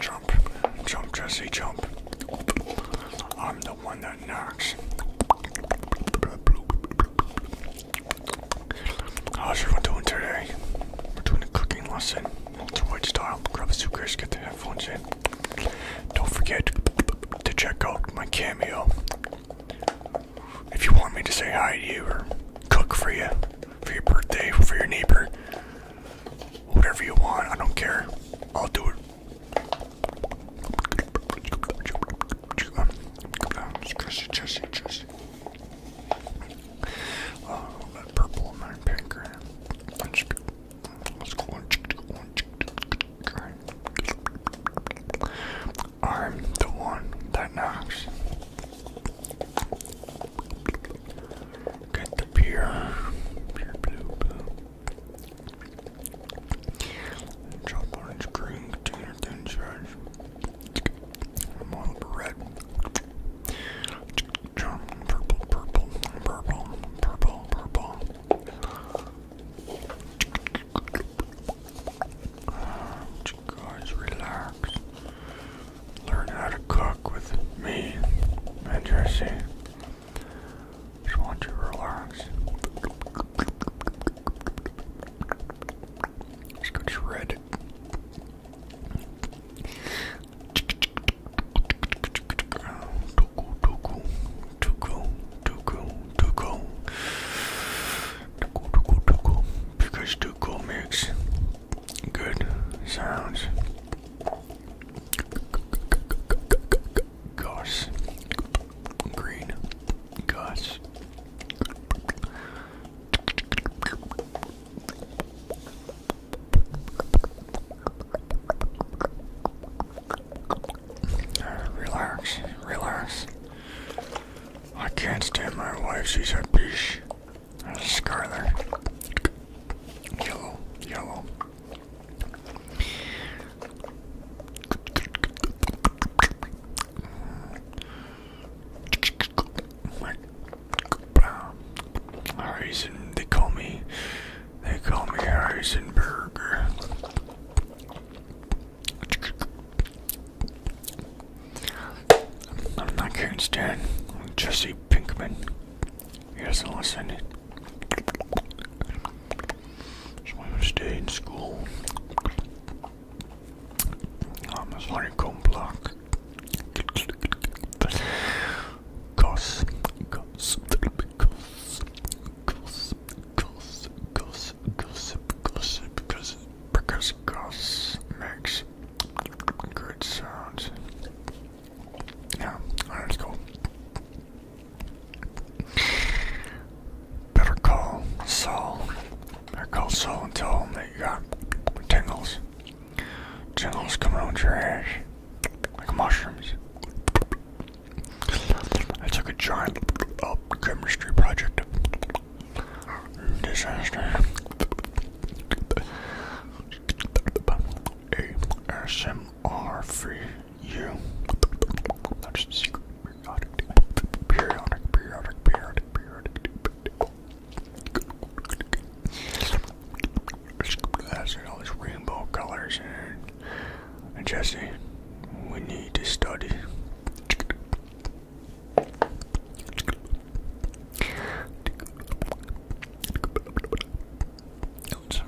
Jump, jump, Jesse, jump. I'm the one that knocks. How's everyone doing today? We're doing a cooking lesson, multi style. Grab a suitcase, get the headphones in. Don't forget to check out my cameo. If you want me to say hi to you or cook for you, for your birthday, for your neighbor, whatever you want. I don't care. I'll do it. Oh, that purple I'm the one that knocks. Get the beer. orange, green, container, thin red. purple, purple, purple, purple, purple. Guys, relax learn how to cook with me and Jesse. Just want you to relax. Let's go shred. Tuku, tuku, tuku, tuku, tuku. Tuku, tuku, tuku. Because tuku makes Good sounds. Gosh, Green. Goss. Uh, relax, relax. I can't stand my wife, she's a bitch. Scarlet. Yellow. Yellow. Horizon, they call me, they call me Heisenberger. I'm not Karen Stan. I'm Jesse Pinkman. He I not listen. So I'm gonna stay in school. I'm a honeycomb block. because, because, because because because gossip, gossip, gossip, gossip, gossip, gossip, gossip, Great sounds. Yeah, alright, let's go. Better call Saul. Better call Saul and tell him that you got tingles. Tingles coming out your ass. Like mushrooms. It's like a giant oh, chemistry project. Disaster. ASMR free. you. Periodic, periodic, periodic, periodic, periodic. That's all these rainbow colors Jesse, we need to study. Let's,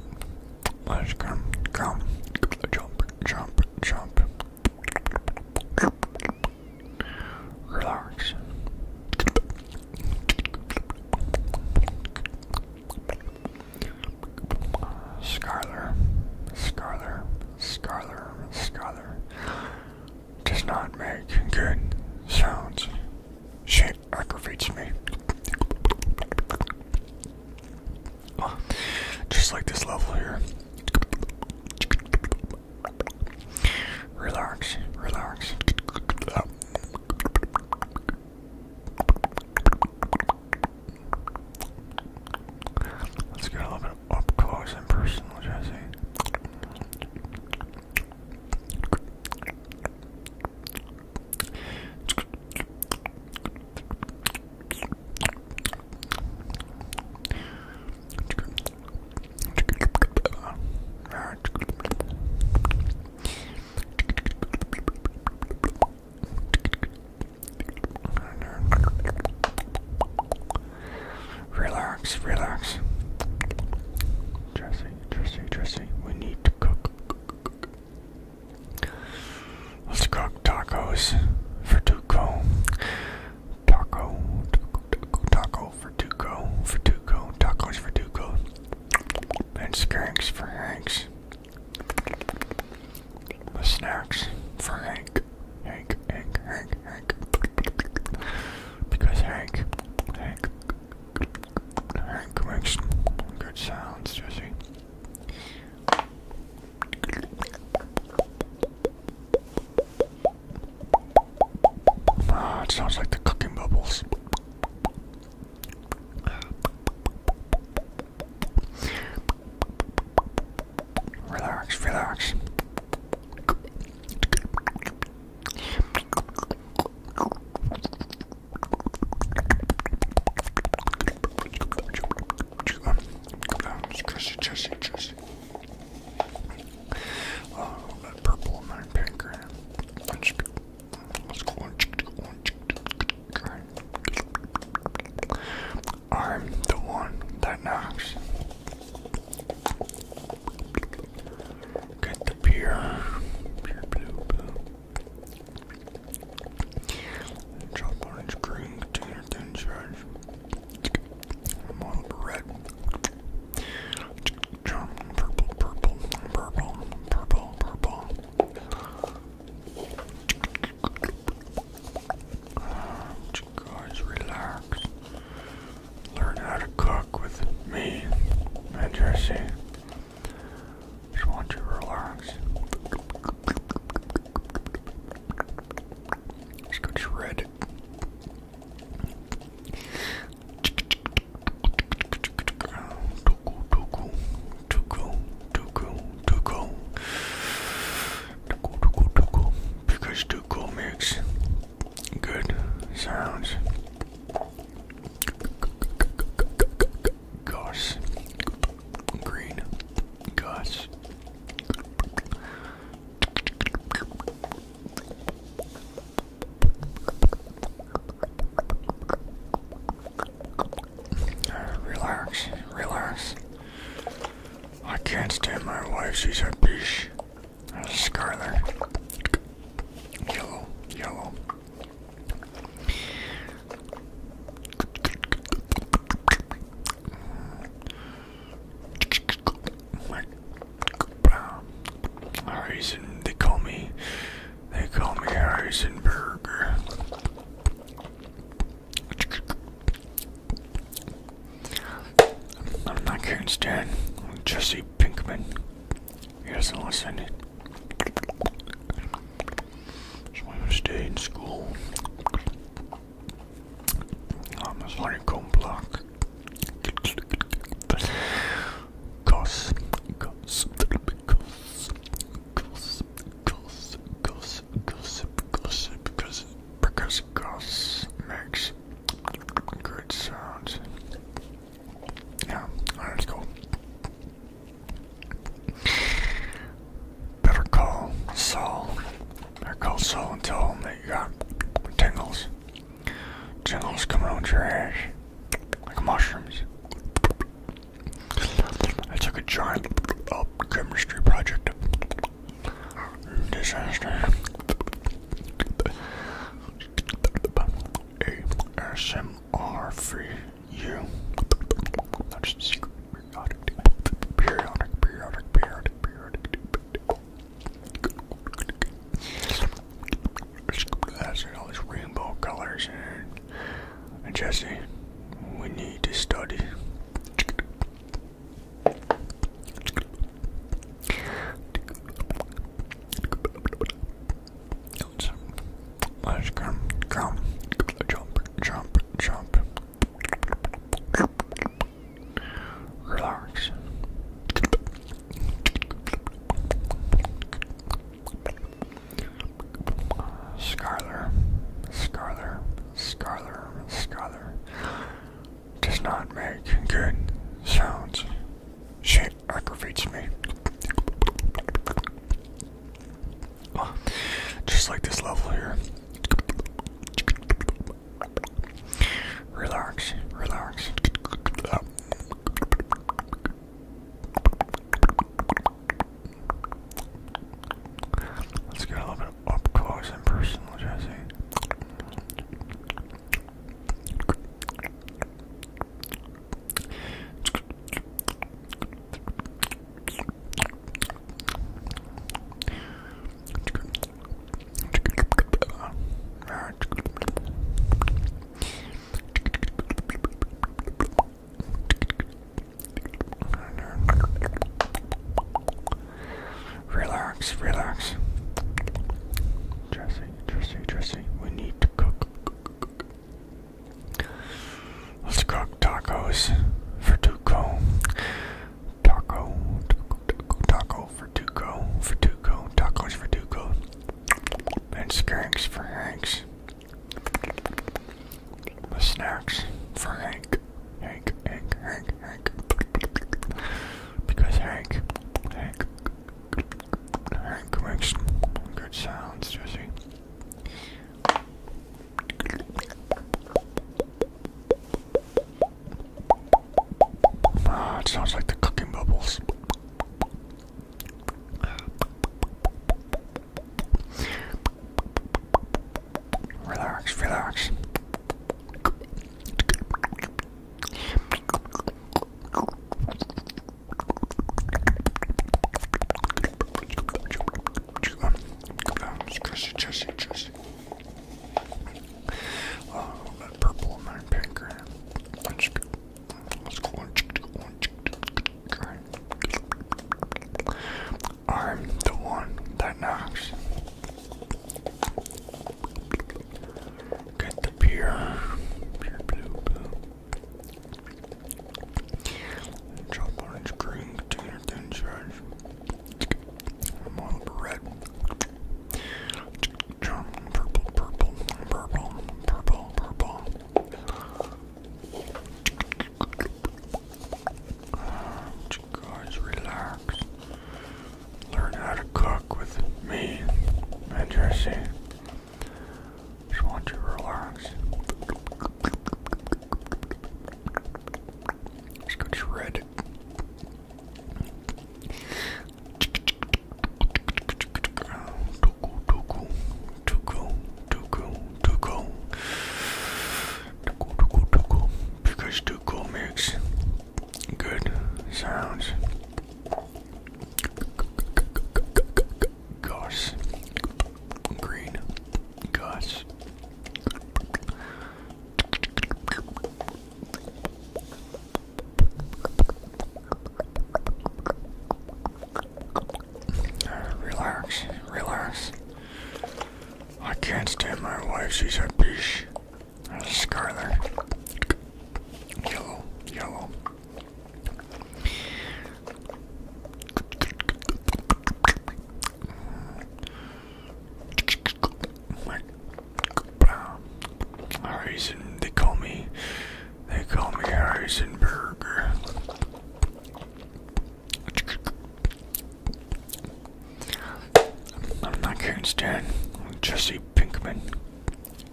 let's come, come, jump, jump, jump. Relax. Scarler, Scarler, Scarler, Scarler does not make good sounds. She aggravates me. just like this level here. Relax, relax. Let's get a little bit up close and personal, Jesse. Relax, relax. Jesse, interesting, interesting. We need to cook. Let's cook tacos for Duco. Taco, taco, taco, for Duco, for Duco, tacos for Duco, and skanks for Hanks. The snacks for Hank, Hank, Hank, Hank, Hank, because Hank, Hank, Hank makes good sounds, Jesse. Ah, it sounds like the cooking bubbles. Relax, relax. Jesse, Jesse, Jesse. Oh, uh, that purple in my pancreas. Let's go on. I'm the one that knocks. Get the beer. Beer orange green container red. Purple, purple, purple, purple, purple. Guys, relax learn how to cook with me and Jesse. Just want you to relax. Let's go shredded. Tuku, tuku, tuku, tuku, tuku. Tuku, tuku, tuku. Because tuku makes Good sounds. Gosh, Green. Goss. Uh, relax, relax. I can't stand my wife, she's a bitch. Scarlet. Yellow. Yellow. Harrison, they call me, they call me Harrisonburg. I'm not Karen Stan, I'm Jesse Pinkman. He doesn't listen. So I'm gonna stay in school. I'm a honeycomb block. Cause, gossip, gossip, gossip, gossip, gossip, gossip, gossip, because, because gossip makes good sounds. Yeah, alright, let's go. Better call Saul. Better call Saul and tell him that you got tingles. Tingles coming out your ass. Like mushrooms. I took a giant uh, chemistry project. Disaster. ASMR for you. That's the secret. Periodic, periodic, periodic, periodic, periodic. That's all these rainbow colors and Jesse, we need to study. Let's, let's come, jump, jump, jump. Relax. Scholar, scholar, scholar, scholar does not make good sounds. She aggravates oh, me. Just like this level here. Relax, relax. Let's get a little bit up close and personal, Jesse. Relax, relax. Jesse, Jesse, Jesse, we need to cook. Let's cook tacos for Tuco. Taco, taco, taco, taco for Tuco, for Tuco, tacos for Tuco. And skanks for Hanks. The snacks for Hank. Hank, Hank, Hank, Hank. Because Hank, Hank Hank makes good sounds, Jesse. Ah, it sounds like the cooking bubbles. Relax, relax. Squishy, chushy, chushy. Oh, that purple in my pink. Let's go on. I'm the one that knocks. Get the pure, pure blue, blue orange, green, container, thin shreds. red. purple, purple, purple, purple, purple. guys, relax. Learn how to cook with me and just want you to relax. Let's go shred. Tuku, tuku, tuku, tuku, tuku. Tuku, tuku, tuku. Because tuku makes good sounds. Gosh. Green. Gosh. Relax, relax. I can't stand my wife, she's a bitch. Scarlet. Yellow, yellow. Harrison, they call me, they call me Harrison Burger. I'm not Karen Stan, I'm Jesse Pinkman.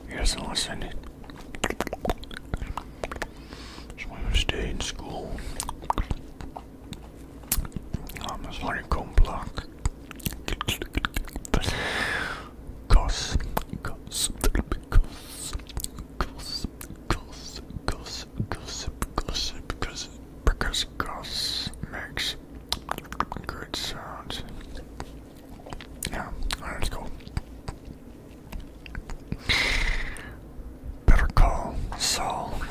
He doesn't listen. So I'm gonna stay in school. I'm a Slurrycomb block. Cos, cos, cos, cos, cos, cos, gossip, gossip, because because goss makes good sounds. Yeah, alright, let's go. Better call Saul.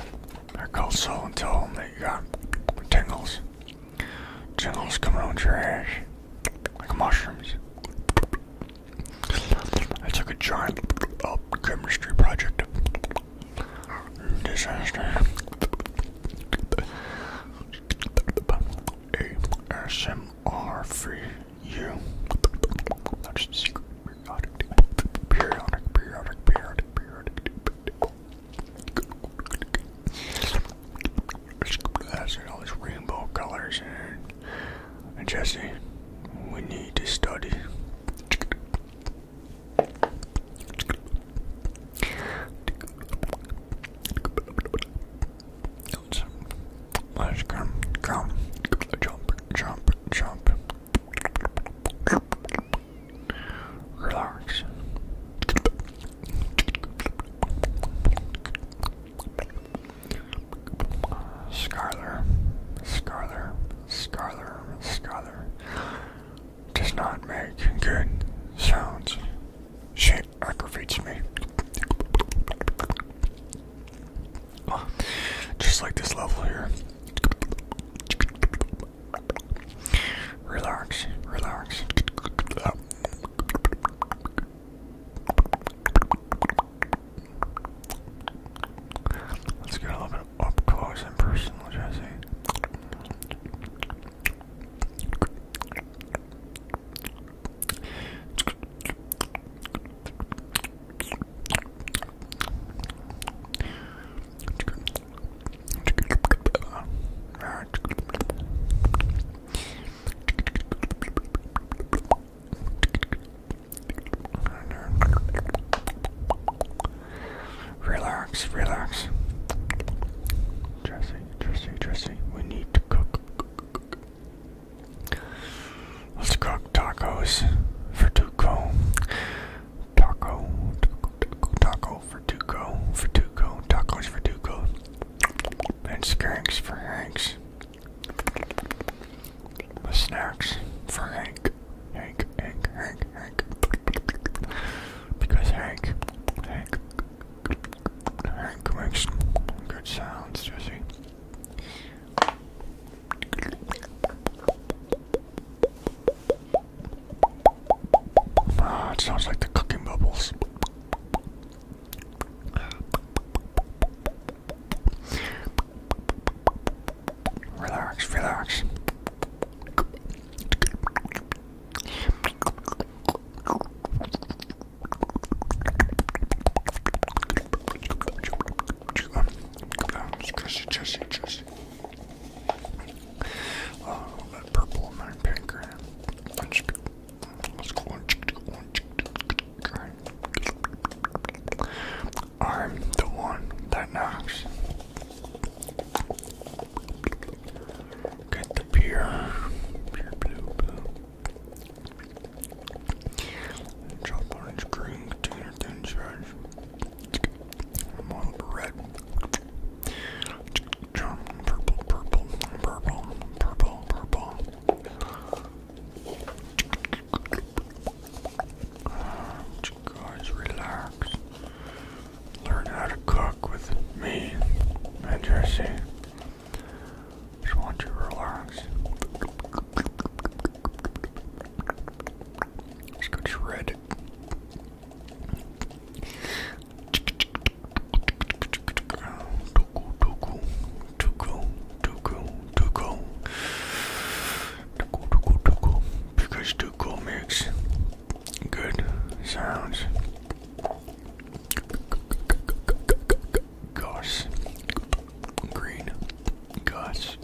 Better call Saul and tell him that you got tingles. Tingles coming on your ass. Like mushrooms. I took a giant uh, chemistry project. Disaster. ASMR are for you. That's the secret. Periodic, periodic, periodic, periodic, periodic. That's all these rainbow colors and, and Jesse, we need to study. Let's come, come, jump, jump, jump. Relax. Scarler, Scarler, Scarler, Scarler does not make good sounds. She aggravates oh, me. Just like this level here. Relax, relax. Let's get a little bit up close and personal, Jesse. Relax, relax. Jesse, Jesse, Jesse, we need to cook. Let's cook tacos for Tuco. Taco, taco, taco, taco for Tuco, for Tuco, tacos for Tuco. And skanks for Hanks. snacks for Hank. Hank, Hank, Hank, Hank. Because Hank, Hank, Hank makes good sounds, does Ah, sounds like the cooking bubbles. Relax, relax. Jesse, Jesse, Jesse. Uh, that purple and that pink. Let's go on. I'm the one that knocks. Get the beer. Beer blue blue. Chop orange, green, container, thin shreds. Model red. Jump, purple, purple, purple, purple, purple. Guys, relax. Learn how to cook with me and Jesse. Just want you to relax. Let's go shred. Tuku, tuku, tuku, tuku, tuku. Tuku, tuku, tuku. Because tuku makes good sounds. Gosh green Gus.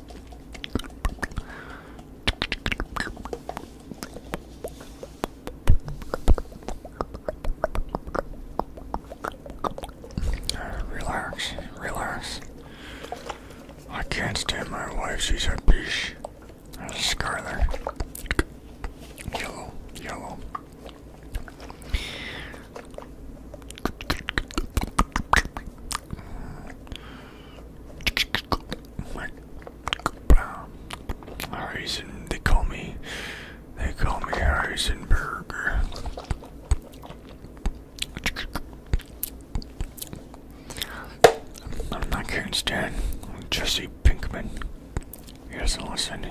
Relax, relax. I can't stand my wife, she's a bitch. Scarlet. Yellow, yellow. Harrison, they call me, they call me Harrison I'm not Karen Stan, I'm Jesse Pinkman. He doesn't listen.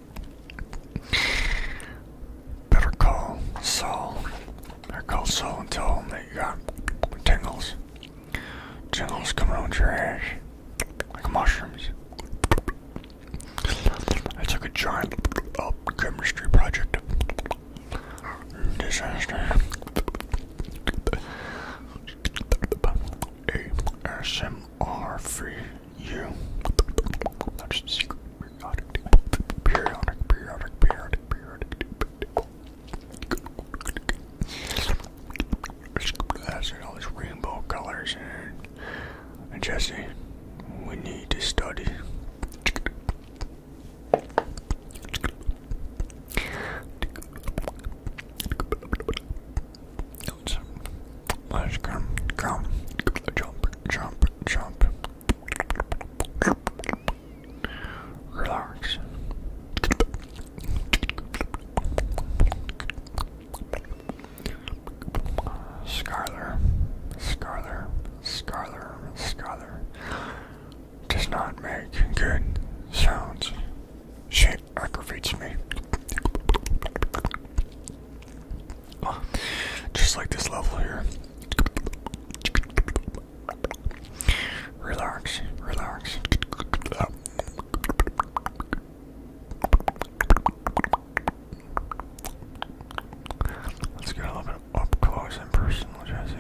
Better call Saul. Better call Saul and tell him that you got tingles. Tingles coming out your ass. Like mushrooms. I took a giant chemistry project. Disaster. ASMR free you. That's the secret. Periodic, periodic, periodic, periodic, periodic. That's all these rainbow colors and, and Jesse, we need to study. Stones. Let's come, come, jump, jump, jump. Relax. Scarler, Scarler, Scarler, Scarler does not make good sounds. She aggravates me. Just like this level here. Relax, relax. Let's get a little bit up close and personal, Jesse.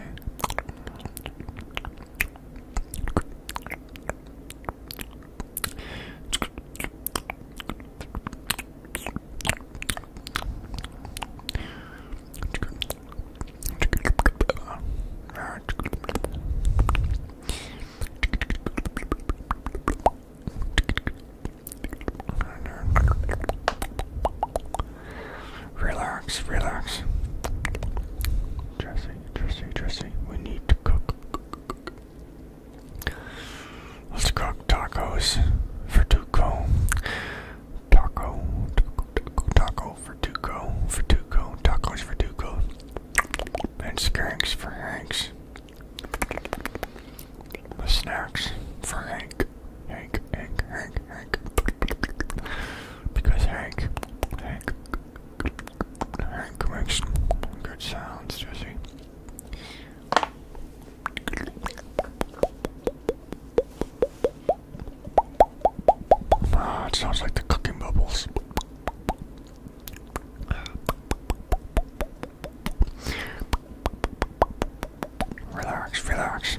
Relax, relax. Jesse, Jesse, Jesse, we need to cook. Let's cook tacos for Duco. Taco, taco, taco, taco for Duco, for Duco, tacos for Duco. And skanks for Hanks. The snacks for Hank. Hank, Hank, Hank, Hank. Because Hank, Hank, Hank makes good sounds, does he? Ah, it sounds like the cooking bubbles. Relax, relax.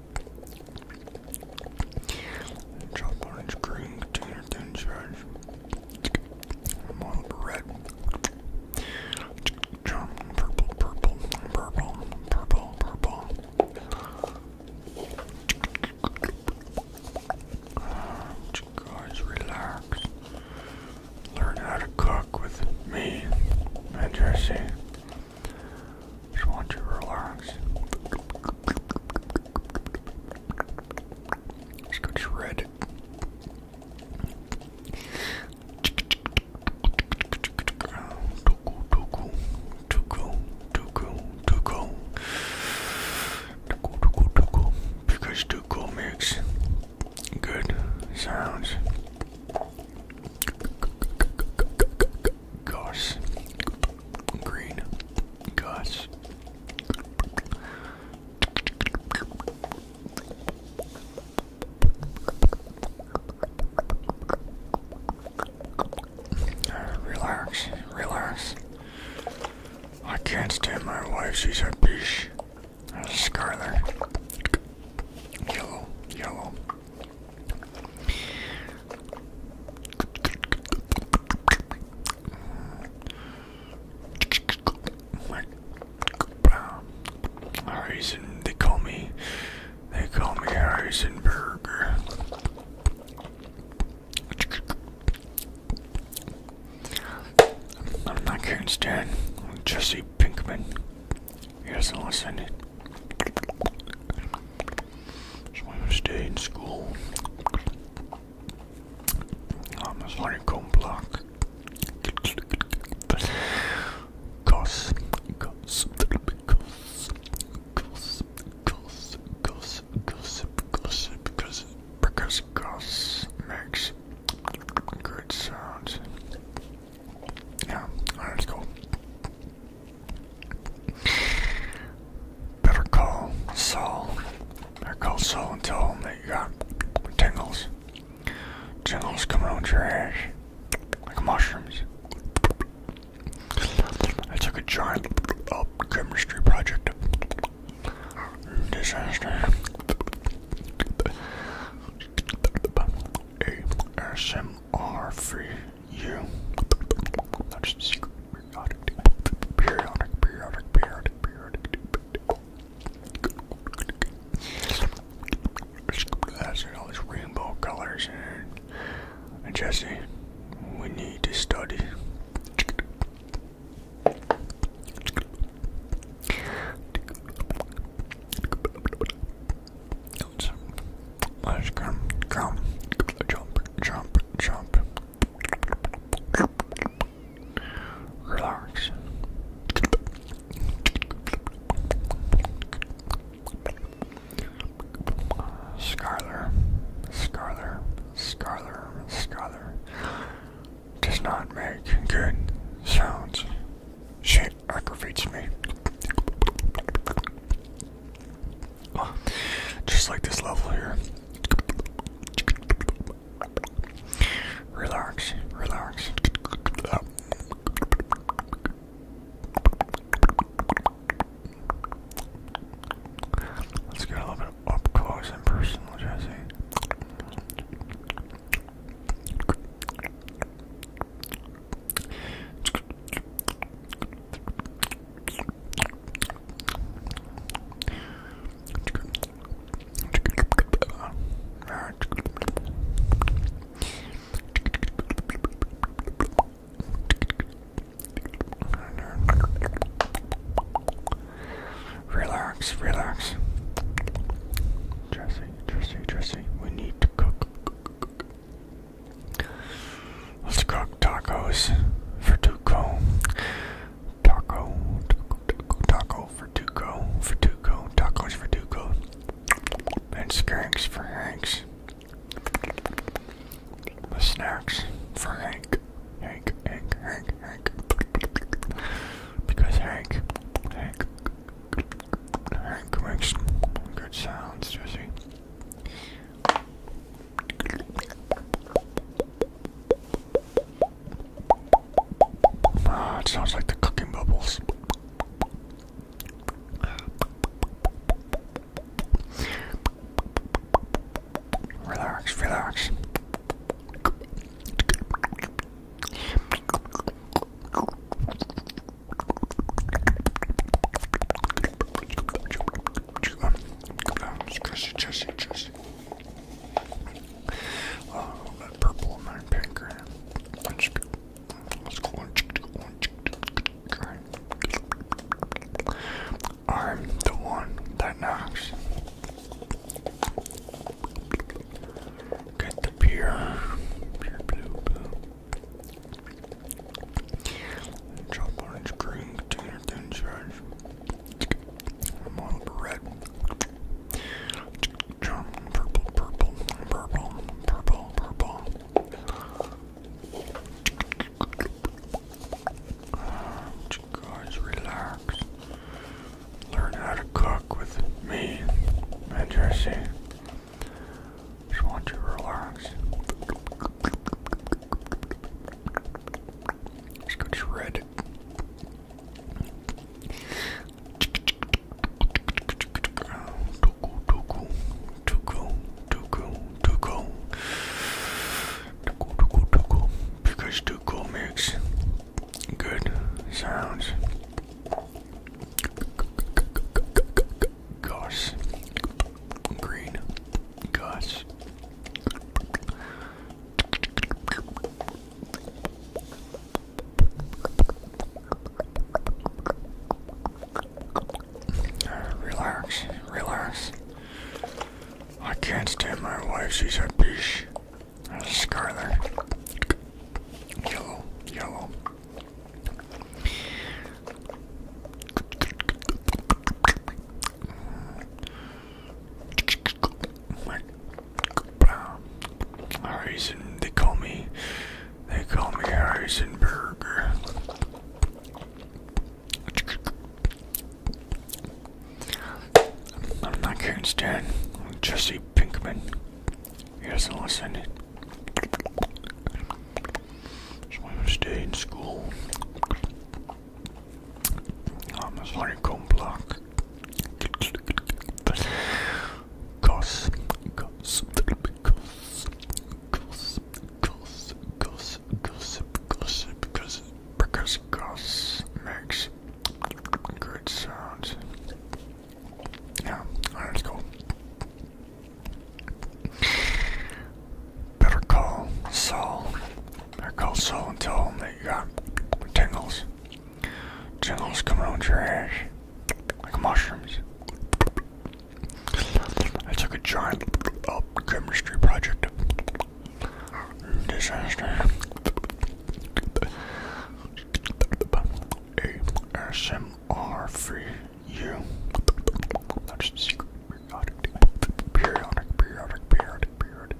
Orange, green container thin shreds. red. Purple, purple, purple, purple, purple. guys, relax. Learn how to cook with me and just want you to relax. Let's go shredded. Tuku, tuku, tuku, tuku, tuku. Tuku, tuku, tuku. Because tuku makes good sounds. Gosh. Green. Gosh. Relax, relax. I can't stand my wife, she's a bitch. A scarlet. Yellow, yellow. Harrison, they call me, they call me Harrison I'm not Karen Stan, I'm Jesse Pinkman. He does listen. So I'm gonna stay in school. I'm a honeycomb block. Cause, gossip, gossip, gossip, gossip, gossip, gossip, gossip, gossip, because goss makes good sounds. Yeah, alright, let's go. Better call Saul. Better call Saul and tell him that you got tingles. Tingles coming out your ass. Like mushrooms. I took a giant uh, chemistry project. Disaster. ASMR free you. Not just a periodic, periodic, periodic, periodic, periodic. That's all these rainbow colors and, and Jesse, we need to study. Let's jump, jump, jump. Relax. Scholar, scholar, scholar, scholar, does not make good sounds. Shit aggravates me. Just like this level here. Relax, relax. Let's get a little bit up close and personal, Jesse. Relax, relax. Jesse, Jesse, Jesse, we need to cook. cook, cook, cook. Let's cook tacos for Tuco. Taco, taco, taco, taco for Tuco, for Tuco, tacos for Tuco. And skanks for Hanks. The snacks for Hank. Hank, Hank, Hank, Hank. Because Hank, Hank, Hank makes good sounds, does he? Ah, it sounds like the cooking bubbles. Relax, relax. Squishy, chushy, chushy. Oh, that purple in my pink. Let's go on. I'm the one that knocks. Get the pure, pure blue, blue. Drop orange green container I'm all red. Purple, purple, purple, purple, purple. guys, relax. Learn how to cook with me and Just want you to relax. Just go to red. Because tuku makes good sounds. Gosh green gosh Relax, relax. I can't stand my wife, she's a bitch. scarlet. Yellow, yellow. Harrison, they call me, they call me Harrison I'm not Karen Jesse Pinkman. He listen. So i stay in school. Vamos lá comprar. Cos, cos, cos, cos, cos, cos, gossip, gossip, gossip, because goss makes good sounds. Yeah, alright, let's go. Better call Saul they're cold soul and tell them that you got tingles. Tingles coming on your ass. Like mushrooms. I took a giant uh, chemistry project. Disaster. ASMR That's the secret periodic, periodic, periodic, periodic, periodic.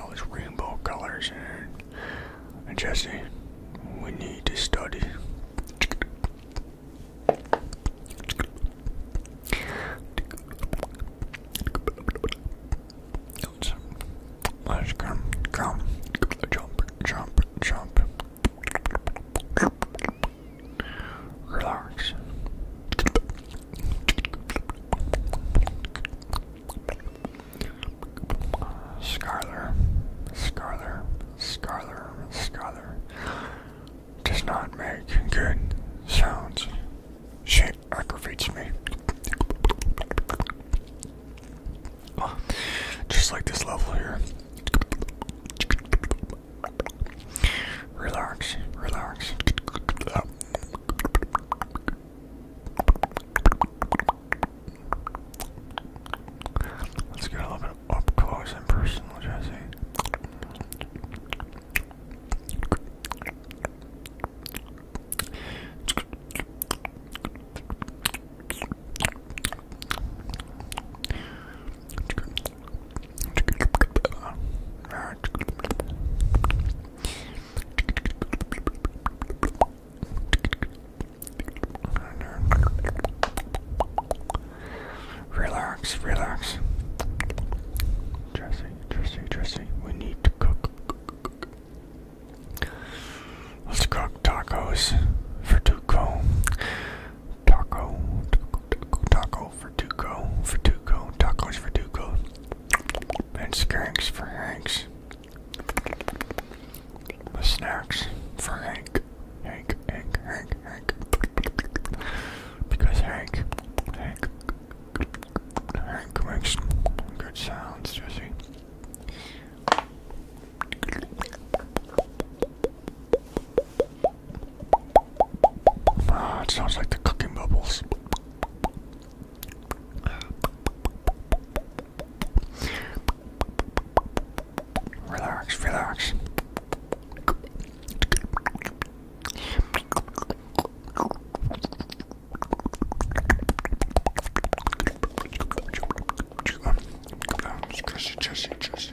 all these rainbow colors, and, and Jesse, we need to study. Let's come, come, jump, jump, jump. Relax. Scarler, Scarler, Scarler, Scarler does not make good sounds. She aggravates me. Just like this level here. Relax, relax. Let's get a little bit up close and personal, Jesse. Relax, relax. Jesse, Jesse, Jesse, we need to cook. Let's cook tacos for Duco. Taco, taco, taco for Duco, for Duco, tacos for Duco, and skanks for Hanks. The snacks for Hank, Hank, Hank, Hank, Hank, because Hank, Hank, Hank makes good sounds, Jesse. Ah, it sounds like the cooking bubbles. Relax, relax. Jesse, Jesse, Jesse.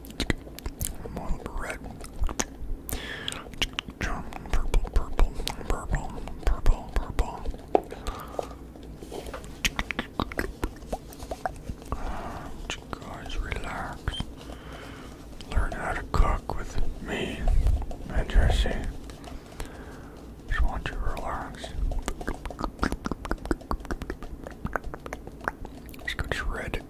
red. Purple, purple, purple, purple, purple. Guys, relax. Learn how to cook with me and Jesse. Just want you to relax. Let's go shred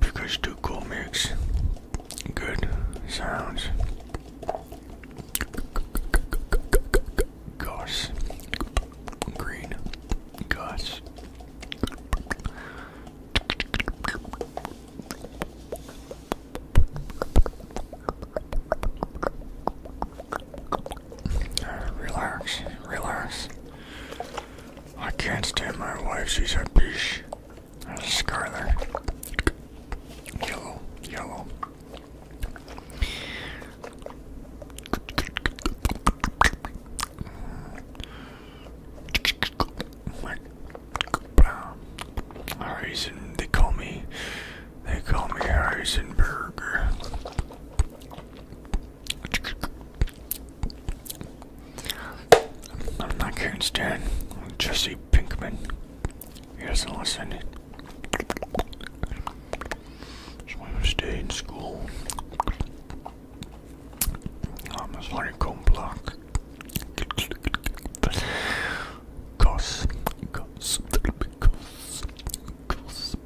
because Tuco makes good sounds. Goss, green, goss, Relax, relax. I can't stand my wife, she's a bitch. There's a scar Yellow, yellow. Harrison, they call me, they call me Harrison I'm not Karen Stan, I'm Jesse Pinkman. He doesn't listen. So I stay in school. I'm a cone block. Cos, gossip, gossip, gossip,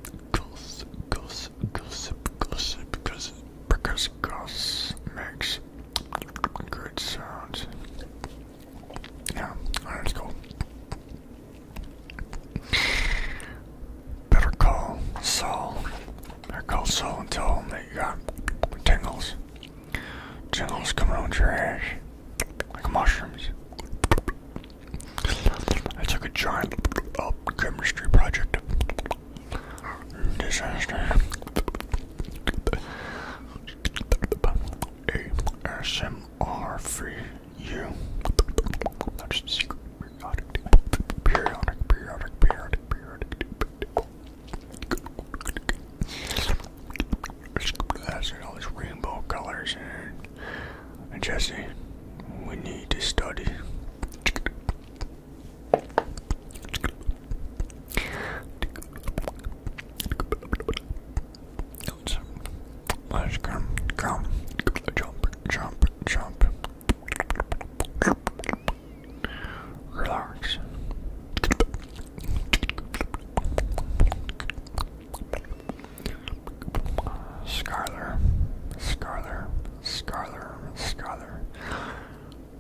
gossip, gossip, gossip, gossip, because goss makes good sounds. Yeah, that's cool. Better call Saul I call are and tell and that you got tingles. Tingles coming on your ass. Like mushrooms. I took a giant oh, chemistry project. Disaster. ASMR free you. That's the secret periodic, periodic, periodic, periodic and all these rainbow colors and, and Jesse, we need to study. Let's come, come, jump, jump, jump. Relax. Scarler, Scarler, Scarler, Scarler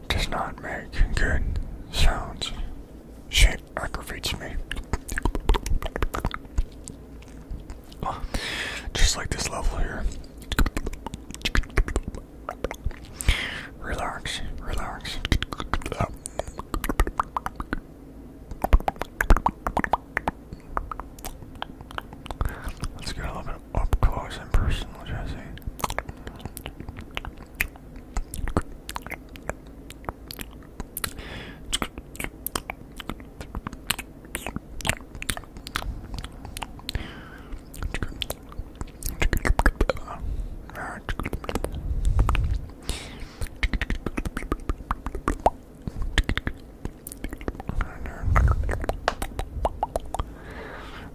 does not make good sounds. She aggravates me. Just like this level here. Relax, relax. Let's get a little bit up close and personal, Jesse.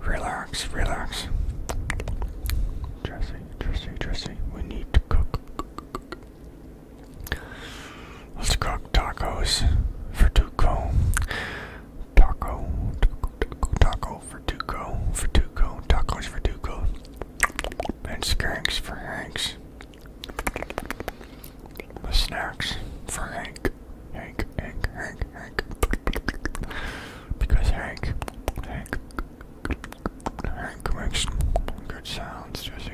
Relax, relax. Jesse, Jesse, Jesse, we need to cook. Let's cook tacos for Duco. Taco, taco, taco, taco for Duco, for Duco, tacos for Duco, and skanks for Hanks. The snacks for Hank, Hank, Hank, Hank, Hank, because Hank, Hank, Hank makes good sounds, Jesse.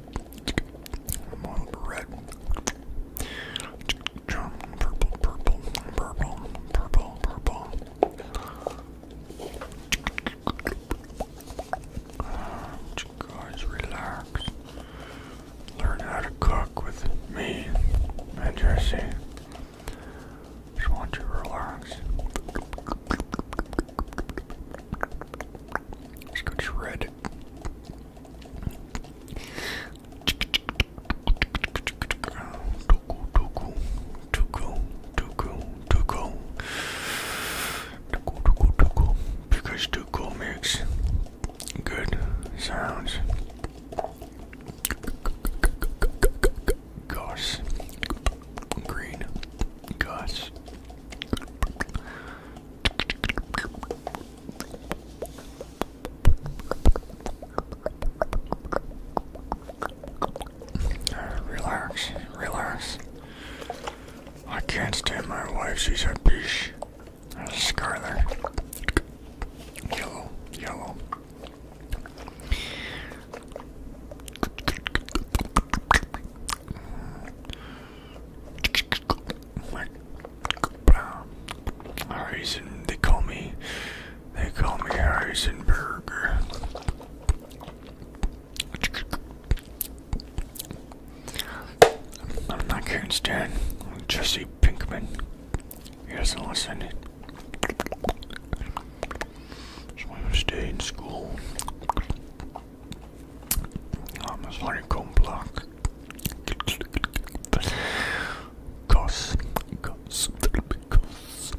One red, purple, purple, purple, purple, purple. Guys, relax. Learn how to cook with me and Jesse. Just want you to relax. Let's go shred. Because cool makes good sounds. Gosh, green, goss relax, relax. I can't stand my wife, she's a bitch. a Scarlet. Yellow, yellow. Harrison, they call me, they call me Harrisonburg. I'm not Karen Stan, I'm Jesse Pinkman. He doesn't listen. So I'm gonna stay in school. I'm a honeycomb block. Cos, cos, cos, cos,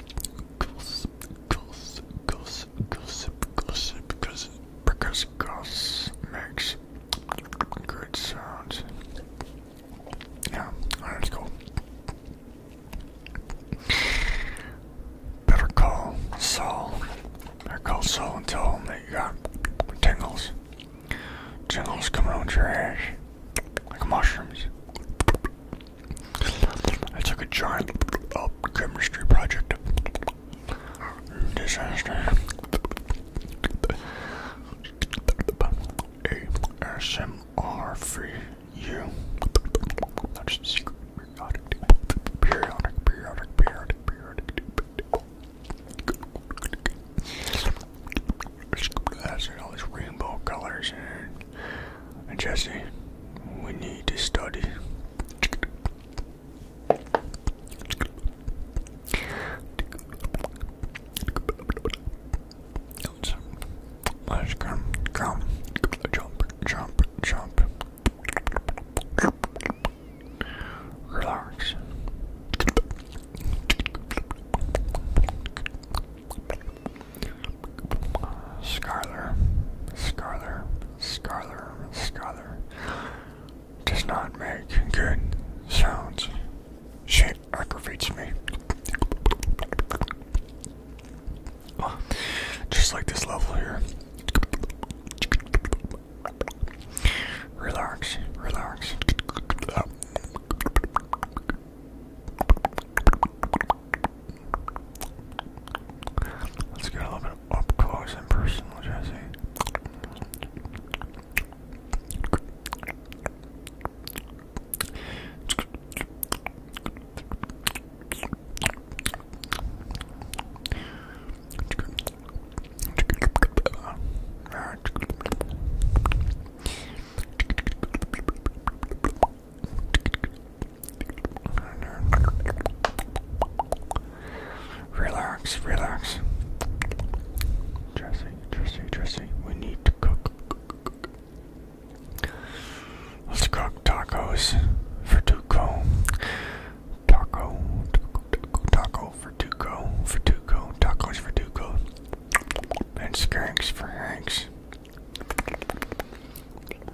cos, cos, gossip, gossip, gossip, because cos makes good sounds. Yeah, alright, let's go. Better call Saul. Better call Saul and tell him that you got tingles. Jingles coming out your ass like mushrooms. I took a giant uh, chemistry project disaster. ASMR free you. periodic, periodic, periodic, periodic, periodic and all these rainbow colors and, and Jesse, we need to study. Let's, let's jump, jump, jump. Relax. Scarler, Scarler, Scarler, Scarler does not make good sounds. She aggravates me. Just like this level here. Relax, relax. Let's get a little bit up close and personal, Jesse. Relax, relax. Dressing, dressing, dressing. We need to cook. Let's cook tacos for Duco. Taco, taco, taco, taco, Verdugo, Verdugo, Verdugo, tacos Verdugo, and snacks for Hanks.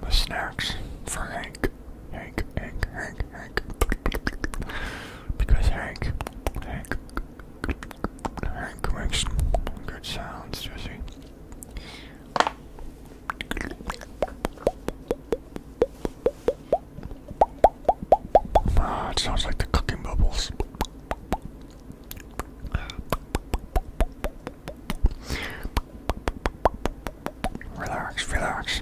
The snacks for Hank, Hank, Hank, Hank, Hank, because Hank, Hank, Hank makes good sounds, does he? Ah, it sounds like the cooking bubbles. Relax, relax.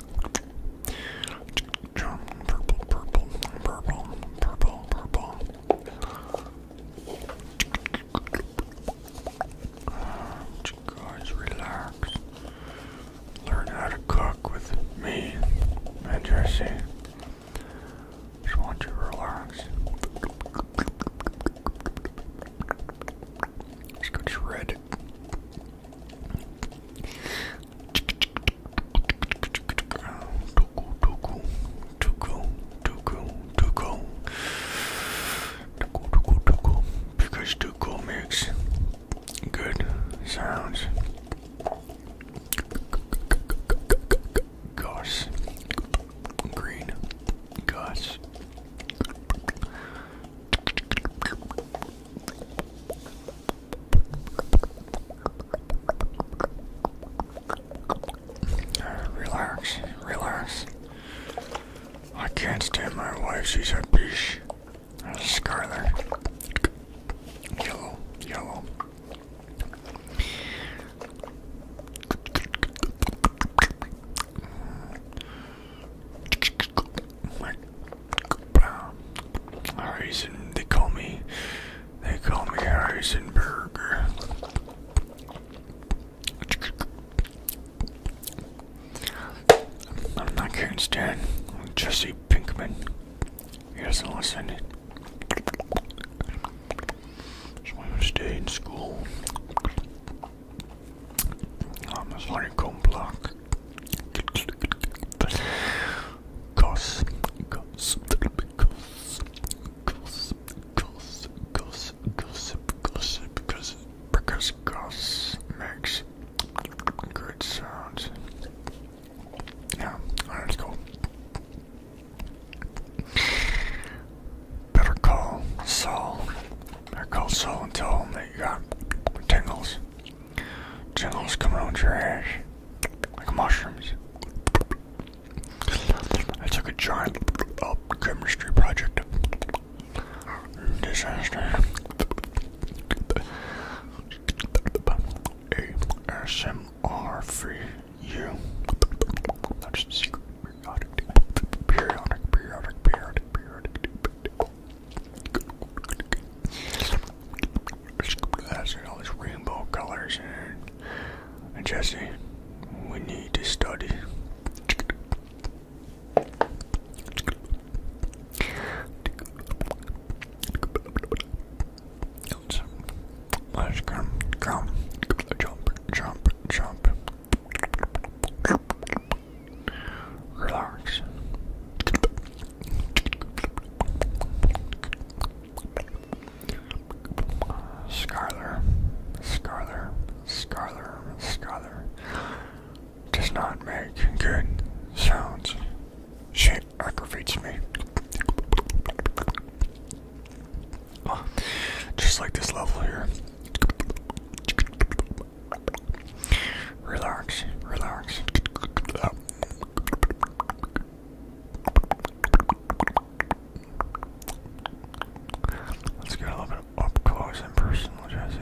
Purple, purple, purple, purple, purple. guys relax. Learn how to cook with me and Just want you to relax. Let's go shredded. Tuku, because Tuku makes good sounds. Goss, green, goss relax, relax. I can't stand my wife, she's a bitch. Uh, Scarlet. Yellow, yellow. Harrison, they call me, they call me Harrisonburg. I'm not Karen Stan, I'm Jesse Pinkman. He doesn't listen. So I'm gonna stay in school. I'm a honeycomb block. Goss, goss, goss, goss, goss, goss, gossip, gossip, gossip, because goss makes good sounds. Yeah, alright, let's go. Better call Saul. Better call Saul and tell him that you got tingles. Jingles coming out your ass like mushrooms. I took a giant uh, chemistry project. Disaster. ASMR That's the secret periodic, periodic, periodic, periodic, periodic all these rainbow colors and, and Jesse, we need to study. Let's come, come, jump, jump, jump. Relax. Scarler, Scarler, Scarler, Scarler does not make good sounds. She aggravates me. Oh, just like this level here. Relax, relax. Oh. Let's get a little bit up close and personal, Jesse.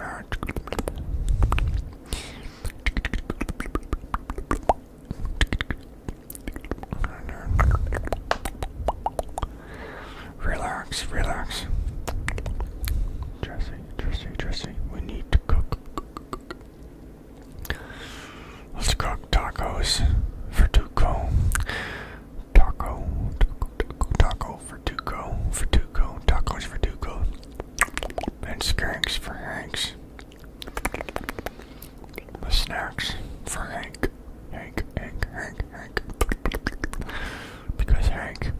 Alright. Relax, relax. Jesse, Jesse, Jesse, we need to cook. Let's cook tacos for Taco, taco, taco, taco for tacos for and skanks for Hanks. The snacks for Hank. Hank, Hank, Hank, Hank. Because Hank,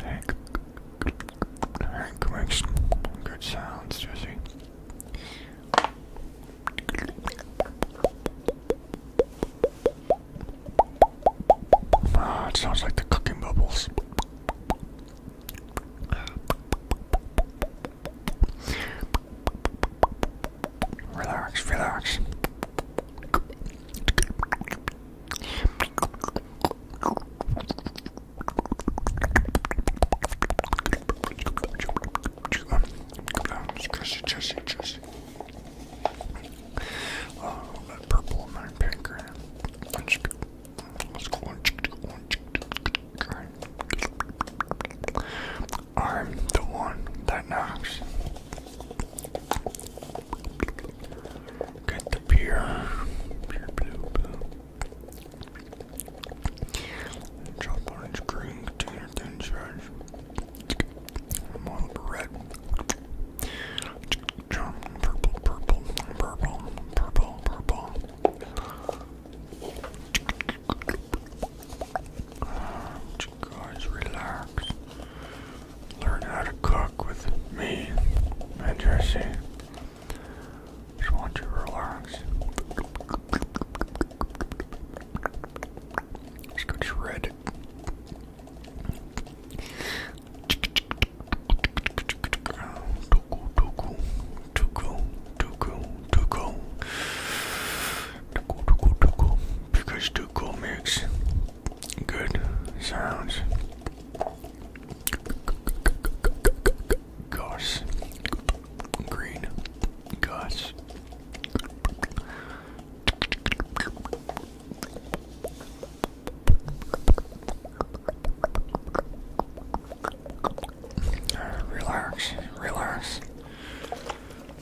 Hank, Hank makes good sounds, Jesse. Ah, it sounds like the cooking bubbles. Relax, relax. Jesse, Jesse, Jesse. Oh, that purple and my pink. Unspeakable. I'm the one that knocks. Get the beer, beer blue, blue. Chop orange, green, container, thin shreds. Model red. Purple, purple, purple, purple, purple. Guys, relax. Learn how to cook with me and Just want you to relax. Let's go shred because Tuco makes good sounds. Goss, green, goss. Relax, relax.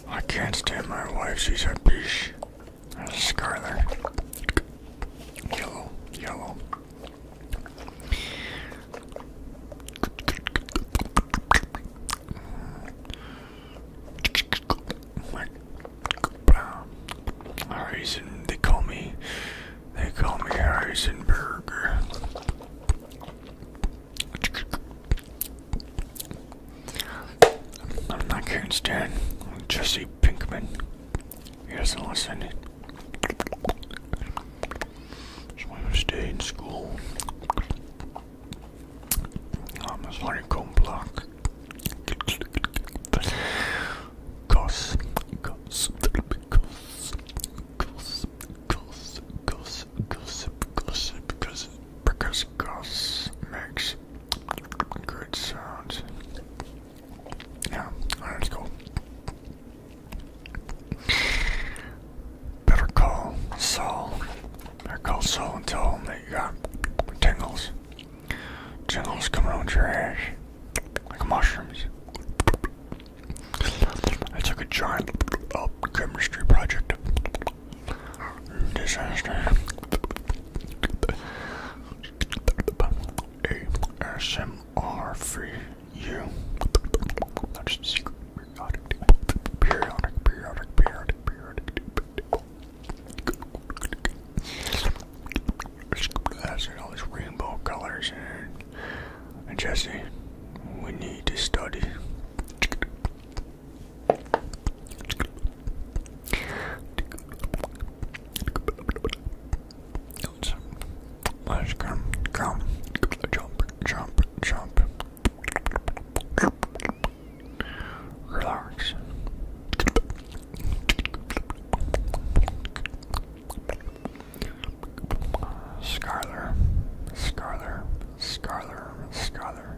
I can't stand my wife, she's a bitch. That's scarlet. Yellow, yellow. Reason they call me they call me Heisenberg. I'm not Karen Stan. I'm Jesse Pinkman. He does listen. So i stay in school. I'm a honeycomb block. Goss, goss, goss, goss, goss, goss, gossip, gossip, gossip, because goss makes good sounds. Yeah, that's cool. Better call Saul. Better call Saul and tell him that you got tingles. Jungles coming out your ass like mushrooms. I took a giant uh, chemistry project disaster. ASMR periodic, periodic, periodic, periodic. That's all these rainbow colors and, and Jesse, we need to study. let's come, come, jump, jump, jump. Relax. Scarler, Scarler, Scarler, Scarler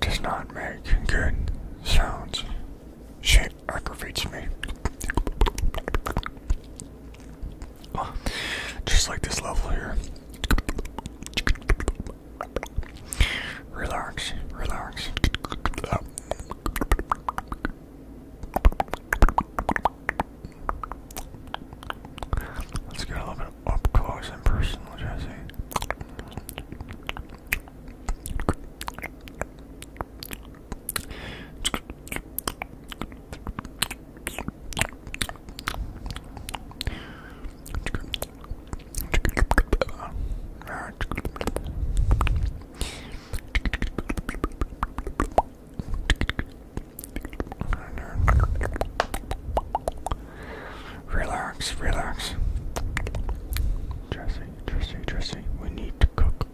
does not make good sounds. She aggravates me. just like this level here. Relax, relax. Let's get a little bit up close and personal, Jesse. Relax, relax. Jesse, Jesse, Jesse, we need to cook.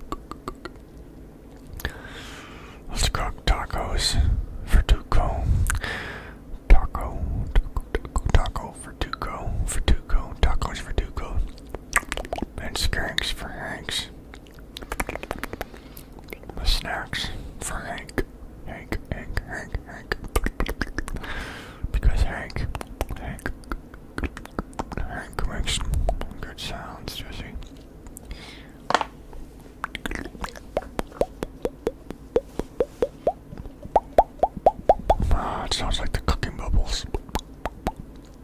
Let's cook tacos for Taco, taco, taco for Tuco, tacos for And skanks for Hanks. The snacks for Hank. Hank, Hank, Hank, Hank. Because Hank, Hank, Hank makes good sounds, Jesse. Ah, it sounds like the cooking bubbles.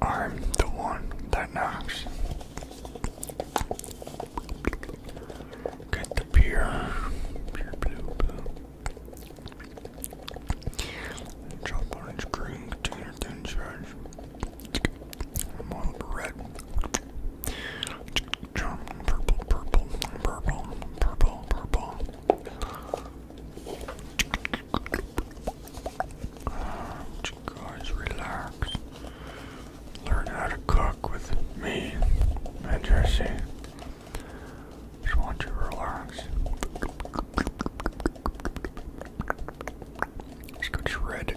I'm the one that knocks. Get the beer. Beer blue blue. green red. purple, purple, purple, purple, purple guys relax. Learn how to cook with me and Just want you to relax. Let's go shred.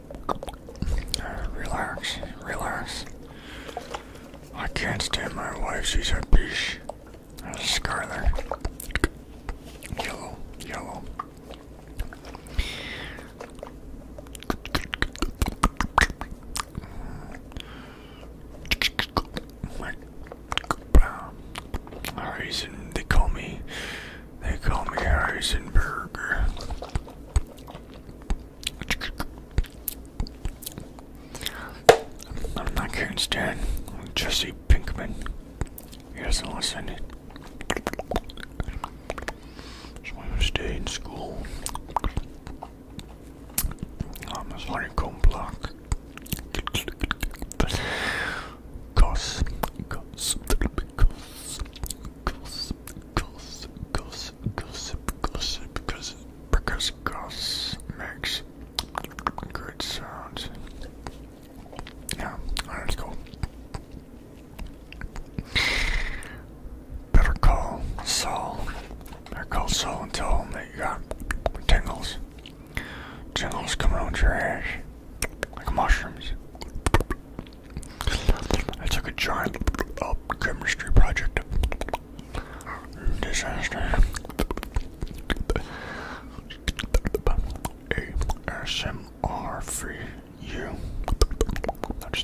Relax, relax. I can't stand my wife, she's a bitch. Scarlet. Yellow, yellow. Alright, they call me they call me Heisenberg. I'm not Karen Jesse Pinkman. He doesn't listen. So i to stay in school. I'm a honeycomb block. Goss, goss, goss, goss, goss, goss, gossip, gossip, gossip, because goss makes good sounds. Yeah, alright, let's go. Better call Saul. Better call Saul and tell him that you got tingles. Tingles coming out your ass like mushrooms. I took a giant uh, chemistry project disaster. ASMR free you. That's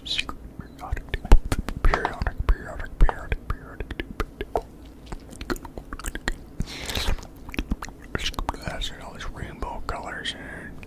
Periodic, periodic, periodic, periodic, periodic. That's all these rainbow colors and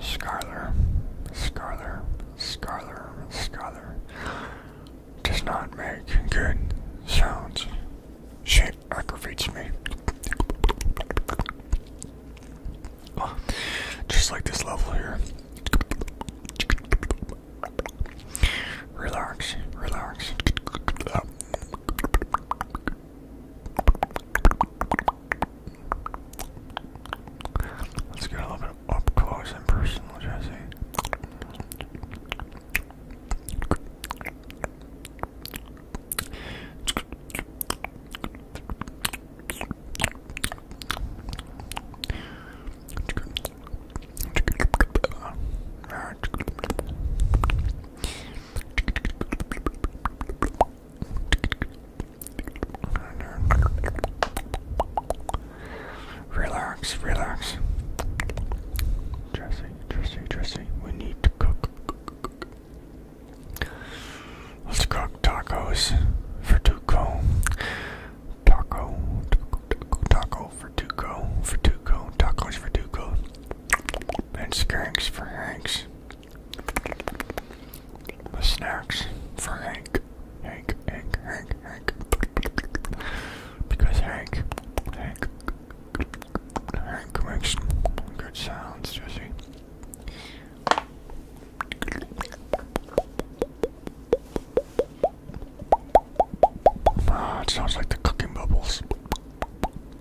Scarler, Scarler, Scarler, Scarler does not make good sounds. She aggravates me. just like this level here. Relax, relax. Let's get a little bit up close and personal, Jesse. Relax, relax. Dressing, dressing, dressing. We need to cook. Let's cook tacos for Tuco. Taco, taco, taco, for Tuco, for Tuco, tacos for Tuco. And skanks for the snacks for Hank. Hank, Hank, Hank, Hank. Because Hank, Hank, Hank makes good sounds, does he? Ah, it sounds like the cooking bubbles.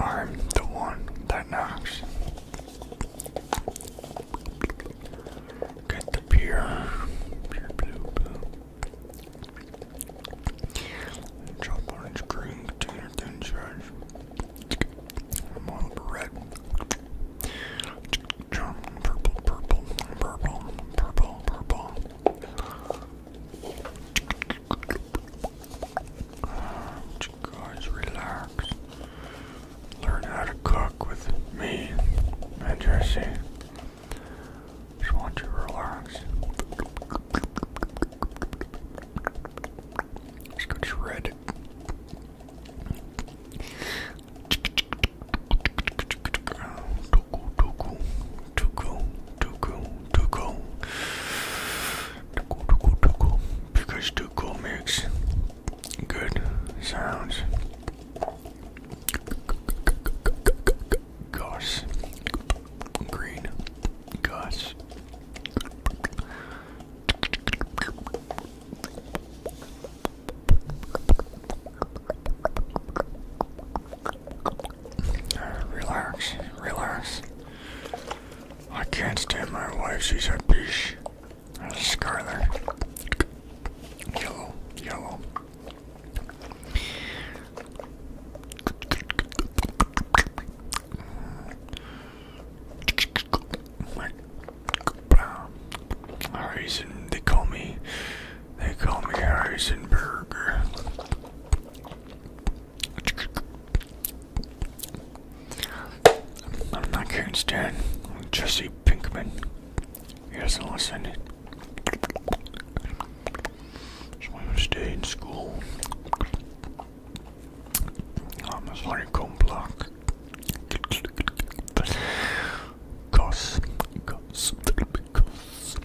I'm the one that knocks. Get the beer, orange green container red. purple, purple, purple, purple, purple guys relax. Learn how to cook with me and Jesse. Just want you to relax. Let's go shred. Toku, toku to go, to go, to go, because to go makes good sounds. Gosh, green, goss. Relax, relax. I can't stand my wife, she's a bitch. A Scarlet. Yellow, yellow. Harrison, they call me, they call me Harrison I'm not can't Jesse Pinkman. He does listen. So i to stay in school. I'm a honeycomb block. Cause, cause, gossip,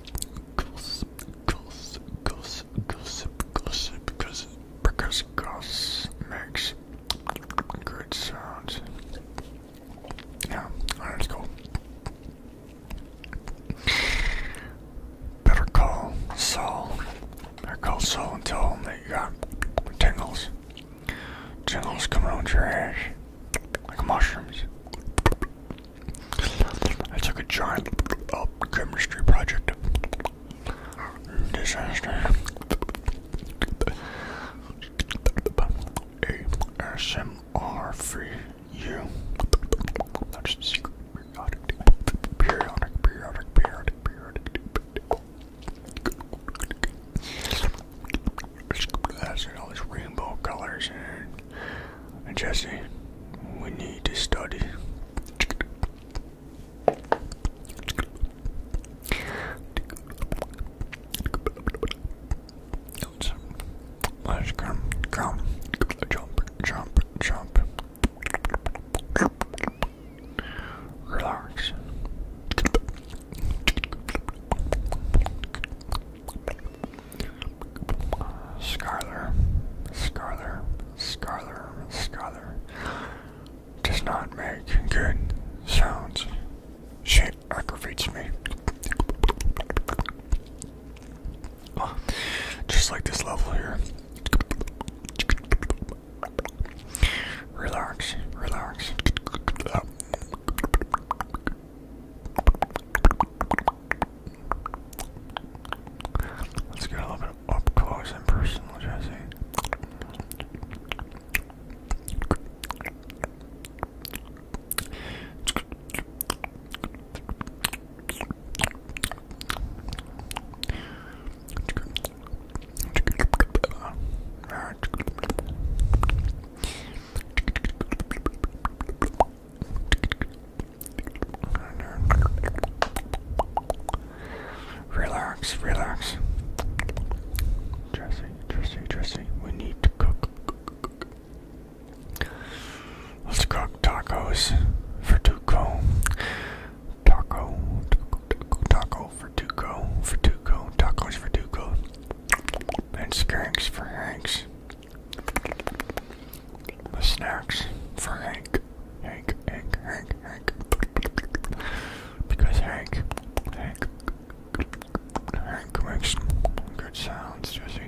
gossip, gossip, gossip, gossip, gossip, because because goss makes good sounds. Yeah, alright, let's go. Better call Saul. Better call Saul and tell him that you got tingles. Tingles coming on your ass like mushrooms. I took a giant oh, chemistry project. Disaster. ASMR free you. That's the secret. Periodic, periodic, periodic, periodic, periodic. That's all these rainbow colors and Jesse, we need to study. Let's come, come, jump, jump, jump. Relax. Scarler, Scarler, Scarler, Scarler does not make good sounds. She aggravates me. Oh, just like this level here. Relax, relax. Let's get a little bit up close and personal, Jesse. Alright. Relax, relax. Dressy, dressy, dressy. We need to cook. Let's cook tacos for Tuco. Taco, taco, taco, for Tuco, for Tuco, tacos for Tuco. And skanks for Hanks. The snacks for Hank. Hank, Hank, Hank, Hank. Because Hank, Hank, Hank makes good sounds, Jesse.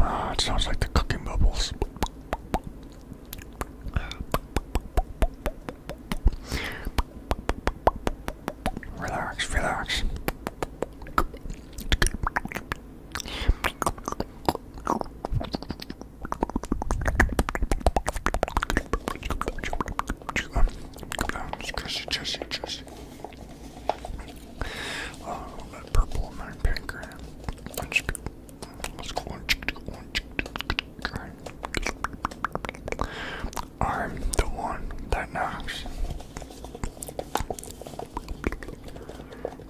Ah, it sounds like the cooking bubbles. Relax, relax. Jesse, Jesse, Jesse. Oh, that purple and that pink. Let's go on. I'm the one that knocks.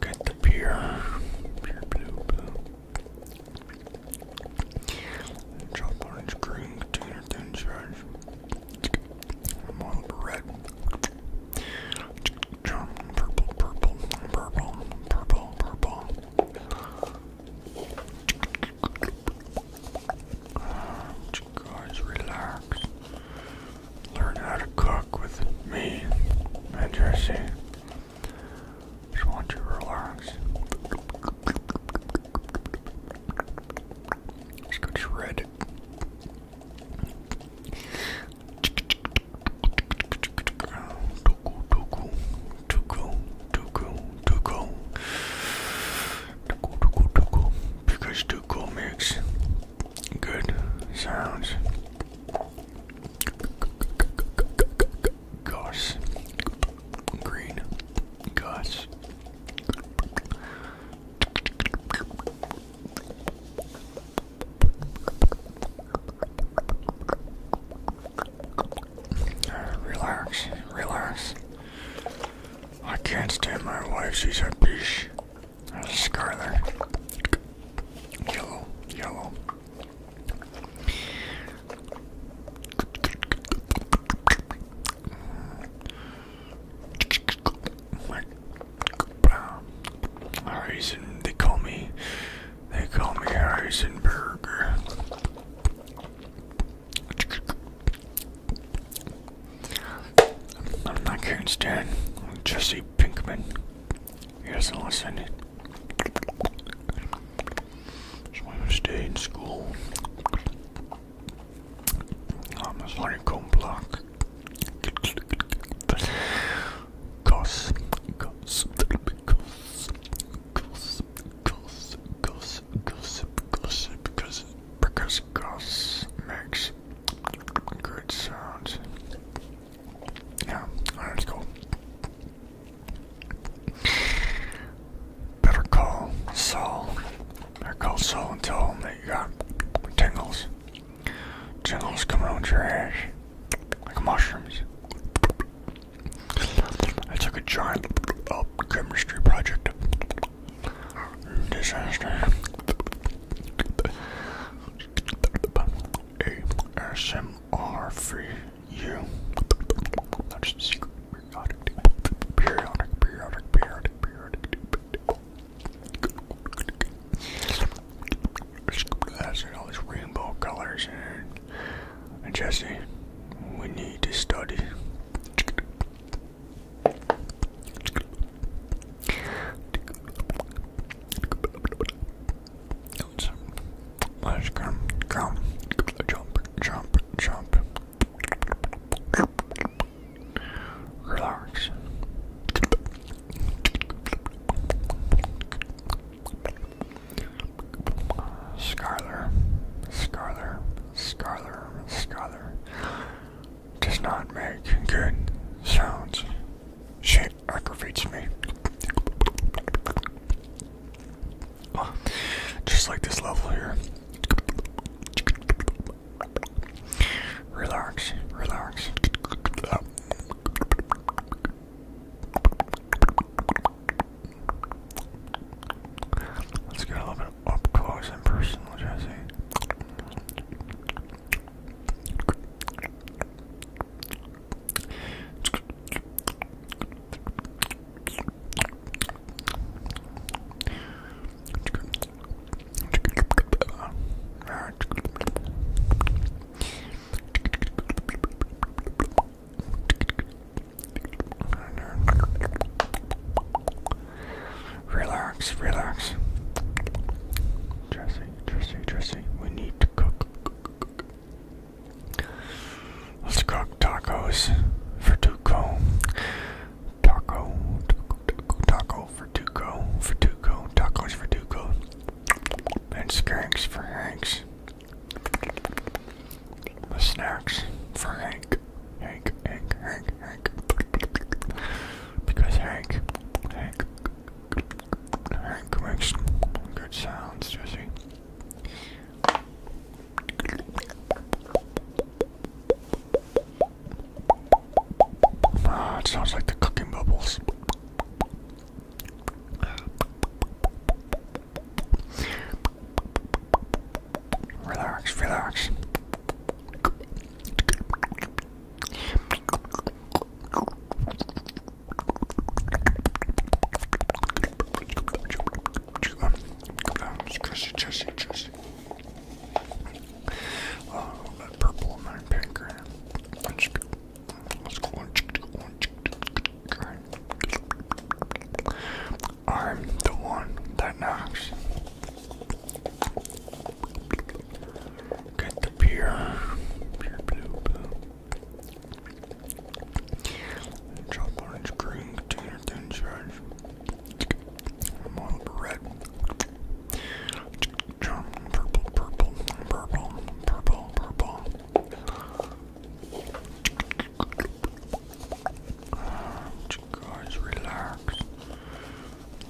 Get the beer, pure orange, green, container, red. Jump, purple, purple, purple, purple, purple. Guys, relax. Learn how to cook with me and Jesse. Just want you to relax. Let's go shred. Tuku, tuku, tuku, tuku, tuku. Tuckle, tuckle, tuckle. Because Tuckle makes good sounds. Goss. Green. Goss. Relax, relax. I can't stand my wife. She's a bitch. There's a scar Yellow, yellow. Harrison, they call me, they call me Harrison I'm not Karen Stan. Jesse Pinkman. He doesn't listen. So i to stay in school. I'm a honeycomb block. Cause, cause, cause, cause, cause, cause, gossip, gossip, gossip, because gossip makes good sounds. Yeah, that's cool. Better call Saul. Better call Saul and tell him that got tingles. Tingles coming out your ass like mushrooms. It's like a giant uh, chemistry project. Disaster. ASMR Periodic, periodic, periodic, periodic, periodic. That's all these rainbow colors Jesse, we need to study. Let's come, come, jump, jump, jump. Relax. Scarler, Scarler, scholar, scholar, does not make good sounds. She aggravates me. just like this level here. Relax, relax. Let's get a little bit up close and personal, Jesse. Relax, relax. Jesse, Jesse, Jesse, we need to cook. Let's cook tacos for Tuco. Taco, taco, taco for Tuco, for Tuco, tacos for Tuco. And skanks for Hanks. The snacks for Hank. Hank, Hank, Hank, Hank. Because Hank, Hank, Hank makes good sounds, does he? Ah, it sounds like the cooking bubbles. Relax, relax. Oh, that purple and that pink. Let's go. Let's go on. Let's go on. I'm the one that knocks. Get the beer, beer green container, thin red. purple, purple, purple, purple, purple you guys relax?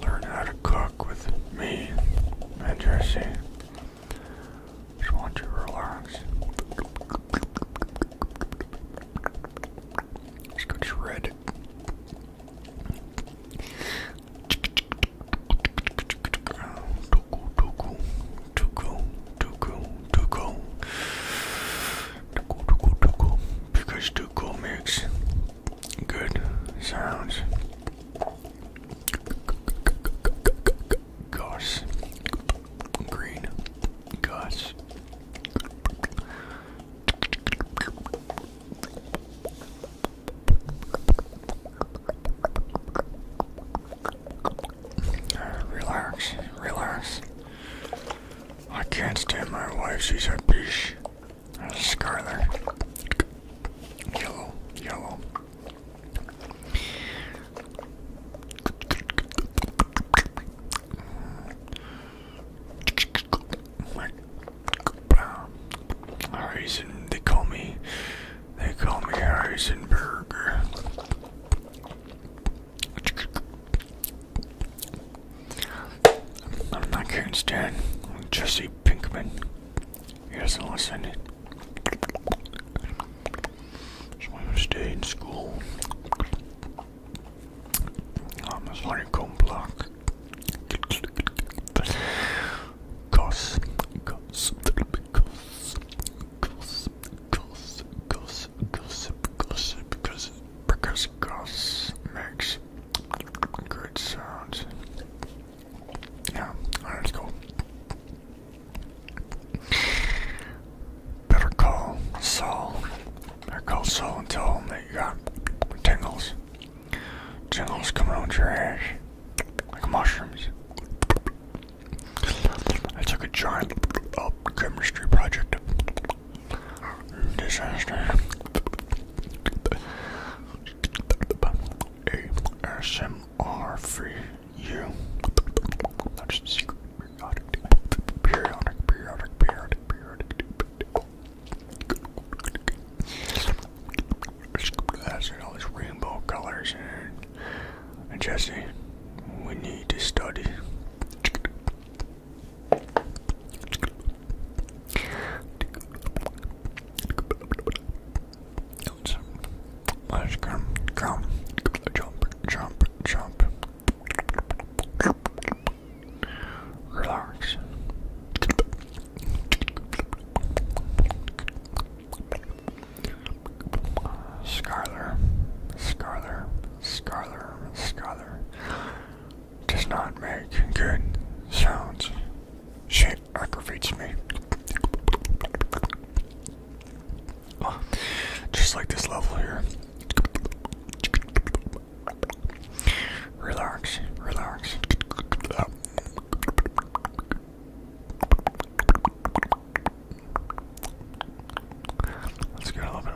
Learn how to cook with me and Just want you to relax. Let's go shredded. Tuku, tuku, tuku, tuku, Tuckle, tuckle, tuckle. Because tuckle makes good sounds. Goss. Green. Goss. Relax, relax. I can't stand my wife. She's a bitch. Scarlet. Yellow. Yellow. Harrison, they call me, they call me Harrison I am not stand Jesse Pinkman. He doesn't listen. So I'm gonna stay in school. I'm um, a honeycomb block. Cause, cause, cause, cause, cause, cause, gossip, gossip, gossip, because because gossip makes good sounds. Yeah, alright, let's go. Better call Saul. Better call Saul and tell him that you got tingles. Tingles coming out your ass like mushrooms. I took a giant uh, chemistry project disaster. ASMR for you. That's the secret. Periodic, periodic, periodic, periodic, periodic. That's it, all these rainbow colors. And Jesse, we need to study come, come, jump, jump, jump. Relax. Scarler, Scarler, Scarler, Scarler does not make good sounds. Shit aggravates me. just like this level here. Relax, relax. Let's get a little bit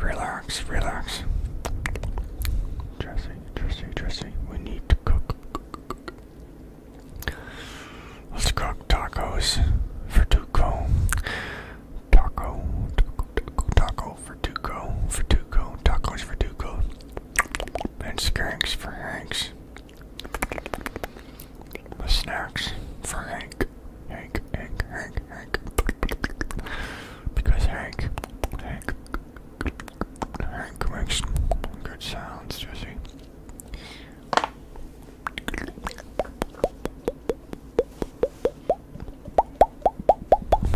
Relax, relax. Dressing, dressing, dressing. We need to cook. Let's cook tacos for Tuco. Taco, taco, taco, taco for Tuco, tacos for Tuco. And skanks for Hank. The snacks for Hank. Hank, Hank, Hank, Hank. Because Hank, Hank, Hank makes good sounds, Jesse.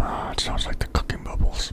Ah, it sounds like the cooking bubbles.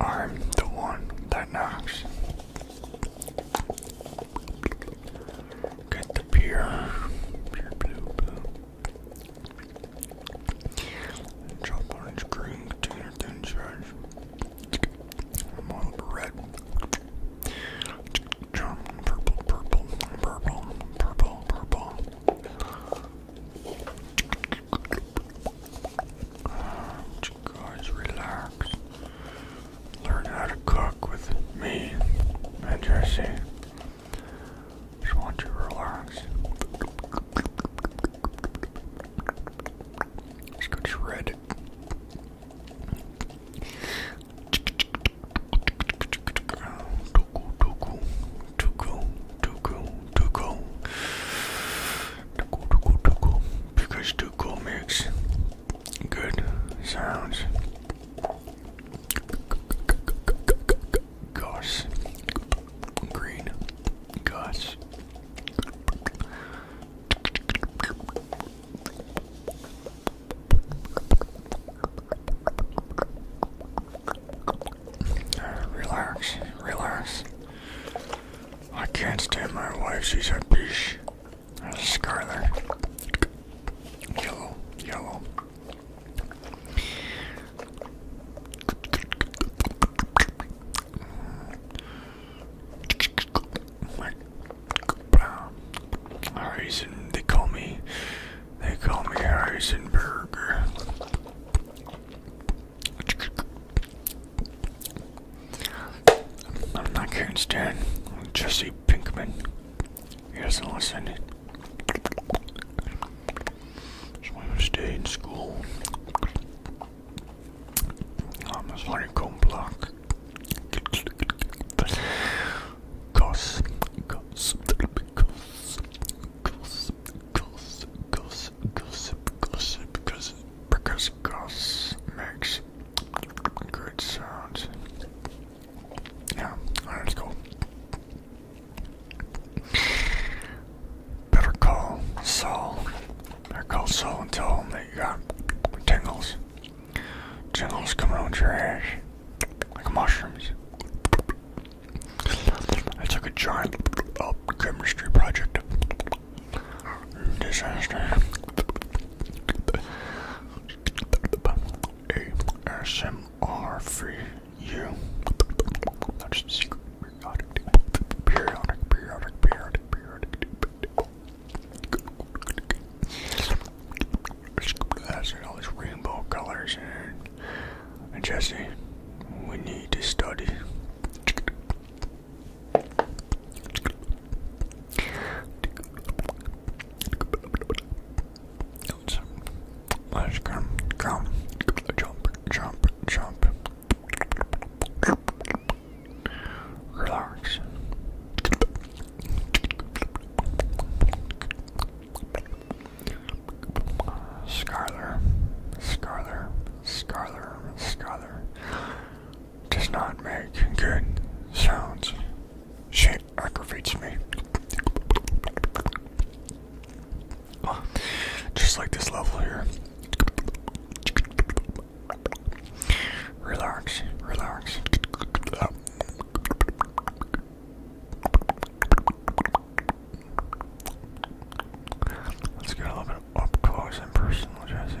I'm the one that knocks. Get the beer, orange green container thin red. purple, purple, purple, purple, purple. guys relax learn how to cook with me and Jesse. Just want you to relax. Let's go shred. Tuku, tuku, tuku, tuku, tuku. Tuku, tuku, tuku. Because tuku makes good sounds. Gosh, green goss. Uh, relax, relax. I can't stand my wife. She's a bitch. Scarlet, yellow, yellow. Horizon, they call me, they call me Horizon I'm not can't stand Jesse Pinkman. He doesn't listen. So I'm gonna stay in school. I'm a honeycomb block. Cause, cause, cause, cause, cause, gossip, gossip, gossip, because because goss makes Good sounds. Yeah, alright, let's go. Better call Saul. Better call Saul and tell him that you got tingles. Tingles coming out your ass. Like mushrooms. I took a giant uh, chemistry project Disaster. ASMR free you. That's the secret. Periodic, periodic, periodic, periodic, periodic. all these rainbow colors. And Jesse, we need to study. Let's come, come, jump, jump, jump. Relax. Scarler, Scarler, Scarler, Scarler does not make good sounds. She aggravates me. Just like this level here. Relax, relax. Let's get a little bit up close and personal, Jesse.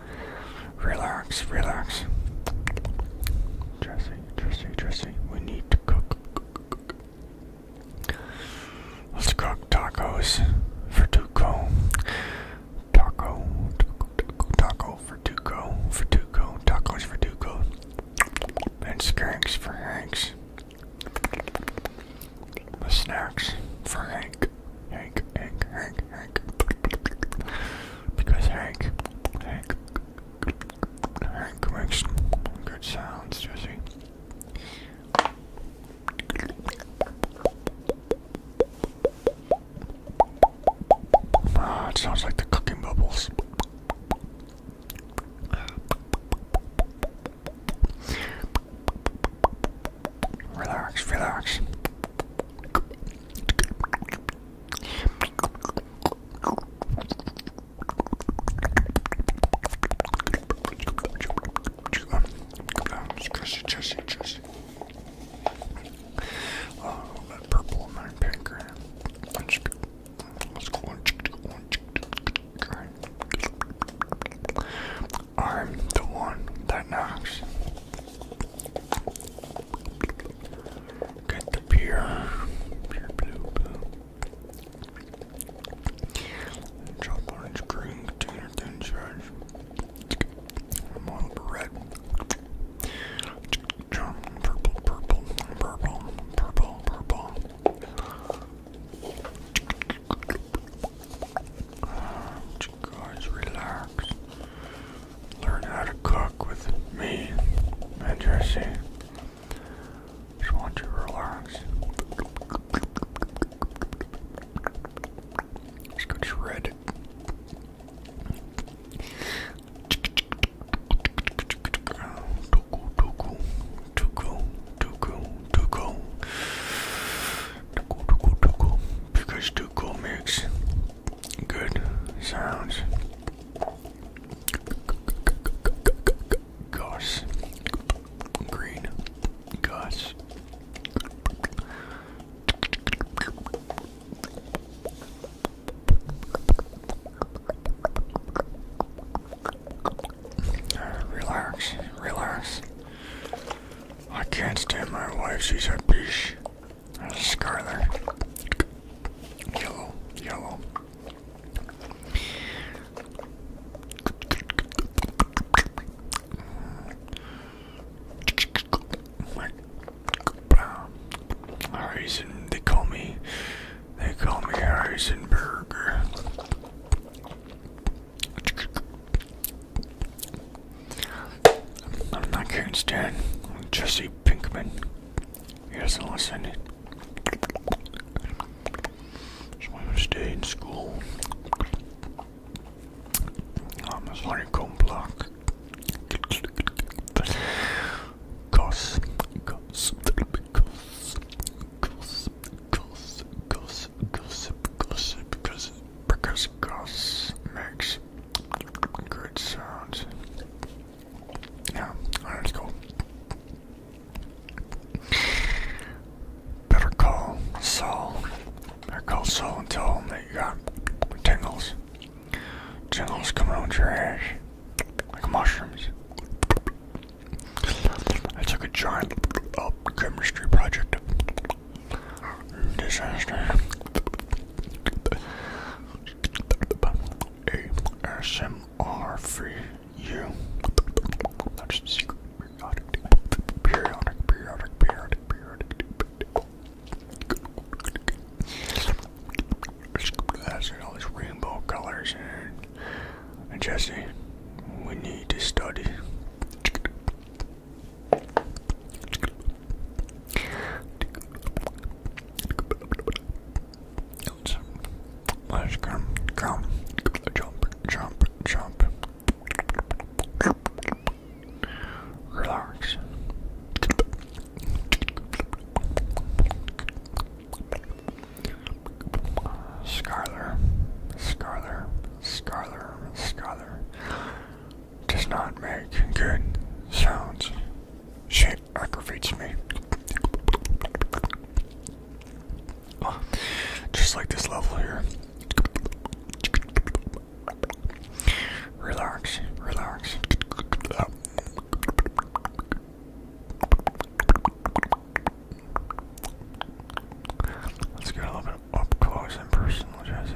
Relax, relax. Jesse, Jesse, Jesse, we need to cook. Let's cook tacos for Duco. Taco, taco, taco, for Duco, for Duco, tacos for Duco. And skanks for Hanks. The snacks for Hank, Hank, Hank, Hank. Hank. Because Hank, Hank, Hank makes good sounds, Jesse. Ah, sounds like the cooking bubbles. Relax, relax. Jesse, Jesse, Jesse. Oh, that purple and that pink. Let's go on. I'm the one that knocks. Get the beer. orange, green, container, thin charge. red. Jump, purple, purple, purple, purple, purple. Guys, relax learn how to cook with me and Jesse. Just want you to relax. Let's go shred. Tuku, tuku, tuku, tuku, tuku. Tuku, tuku, tuku. Because tuku makes Good sounds. Gosh, Green. Goss. Relax, relax. I can't stand my wife, she's a bitch. Scarlet. Yellow. Yellow. Harrison, they call me, they call me Harrison I'm not Karen Stan. I'm Jesse Pinkman. He doesn't listen. So I'm gonna stay in school. I'm a honeycomb block. Cause, cause, cause, cause, cause, gossip, gossip, gossip, because goss makes Good sounds. Yeah, alright, let's Better call Saul. Better call Saul and tell him that you got tingles. Tingles coming out your ass. Like mushrooms. It's like a giant oh, chemistry project. Disaster. ASMR for you. That's the secret. Periodic, periodic, periodic, periodic, periodic. That's all these rainbow colors and, and Jesse, we need to study. Let's come, come, jump, jump, jump. Relax. Scarler, Scarler, Scarler, Scarler does not make good sounds. Shit aggravates me. Oh, just like this level here. Relax, relax. Let's get a little bit up close and personal, Jesse.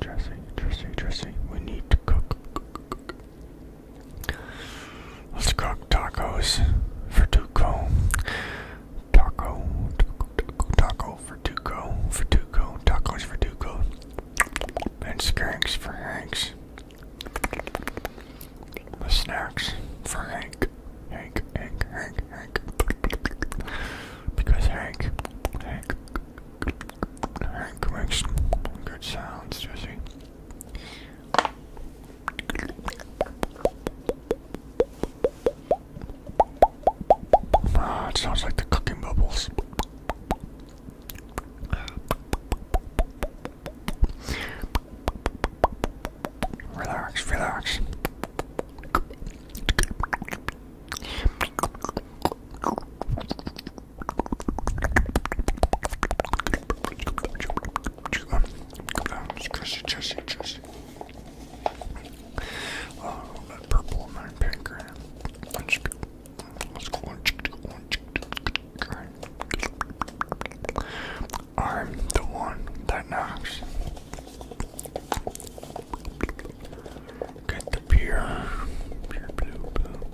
Dressing, dressing, dressing. We need to cook. cook, cook. Let's cook tacos for Duco. Taco, taco, taco, taco for Duco, for Duco, tacos for Duco. And skanks for Hanks. The snacks for Hank. Hank, Hank, Hank, Hank. Because Hank, Hank, Hank makes good sounds, Jesse. Ah, it sounds like the cooking bubbles. Relax, relax. Jesse, Jesse, Jesse. Oh, uh, that purple in my pancreas. Let's go. Let's go. I'm the one that knocks. Get the beer. pure blue, blue.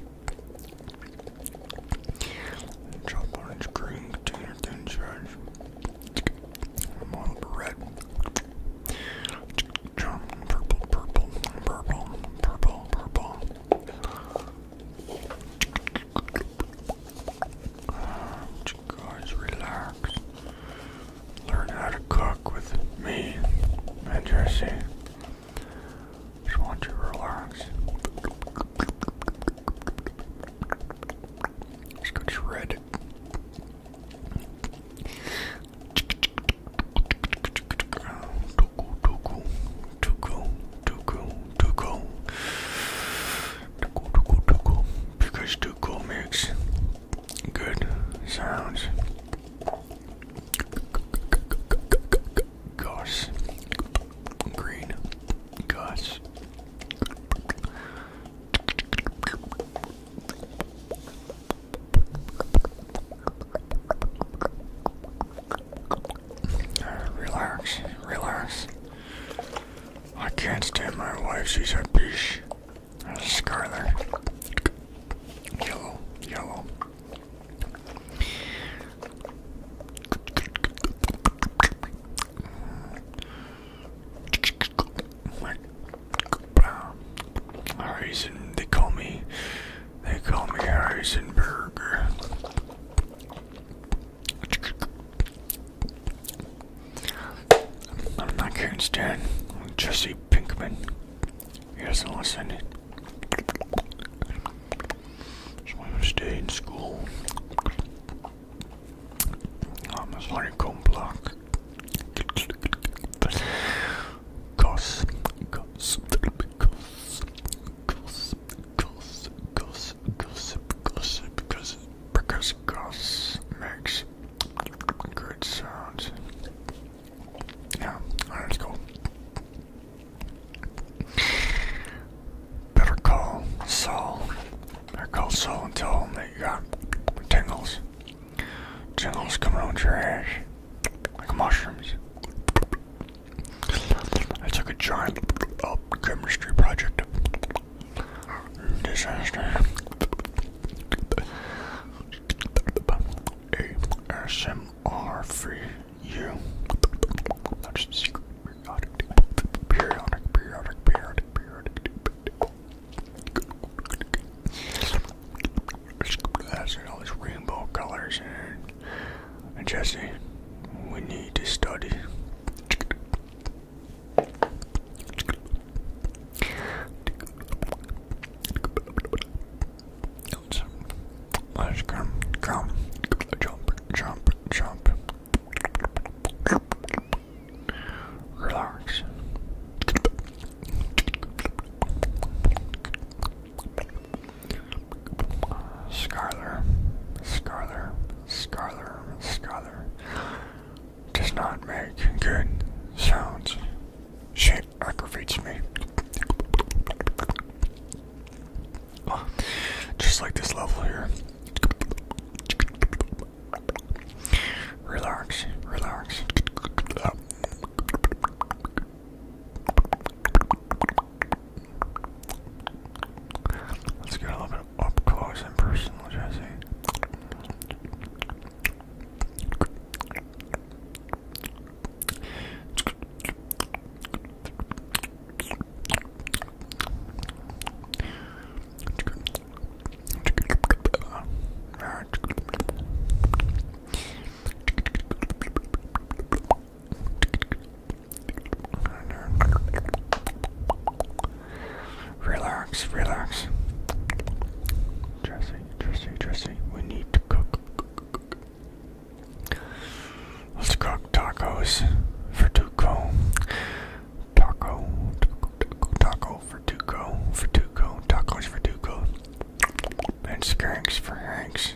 Drop orange, green, container, thin charge. I'm all over red. Purple, purple, purple, purple, purple. Guys, relax learn how to cook with me and Jesse. Just want you to relax. Let's go shredded. Tuku, tuku, tuku, tuku, tuku. Tuku, tuku, tuku. Because tuku makes Good sounds. Gosh, Green. Goss. Uh, relax, relax. I can't stand my wife, she's a bitch. Scarlet. Yellow. Yellow. reason they call me, they call me Harrisonburg. I'm not Karen Stan, Jesse Pinkman. Yes, doesn't listen. Just want to stay in school. I'm a honeycomb block. Cos, gossip, gossip, gossip, gossip, gossip, gossip, gossip, gossip, because goss makes good sounds. Yeah, alright, let's go. Better call Saul. Better call Saul and tell him that you got tingles. Tingles coming out your ass. Like mushrooms. I took a giant chemistry project. Disaster. ASMR free. you. That's the secret. Periodic, periodic, periodic, periodic, periodic. That's all these rainbow colors and Jesse, we need to study. Let's, let's come, come, jump, jump, jump. Relax. Scarler, Scarler, Scarler, Scarler does not make good sounds. She aggravates me. Just like this level here. Relax, relax. Let's get a little bit up close and personal, Jesse. Relax, relax. Dressy, dressy, dressy. We need to cook, Let's cook tacos for Tuco. Taco, taco, taco for Tuco, for Tuco, tacos for Tuco. And skanks for Hanks.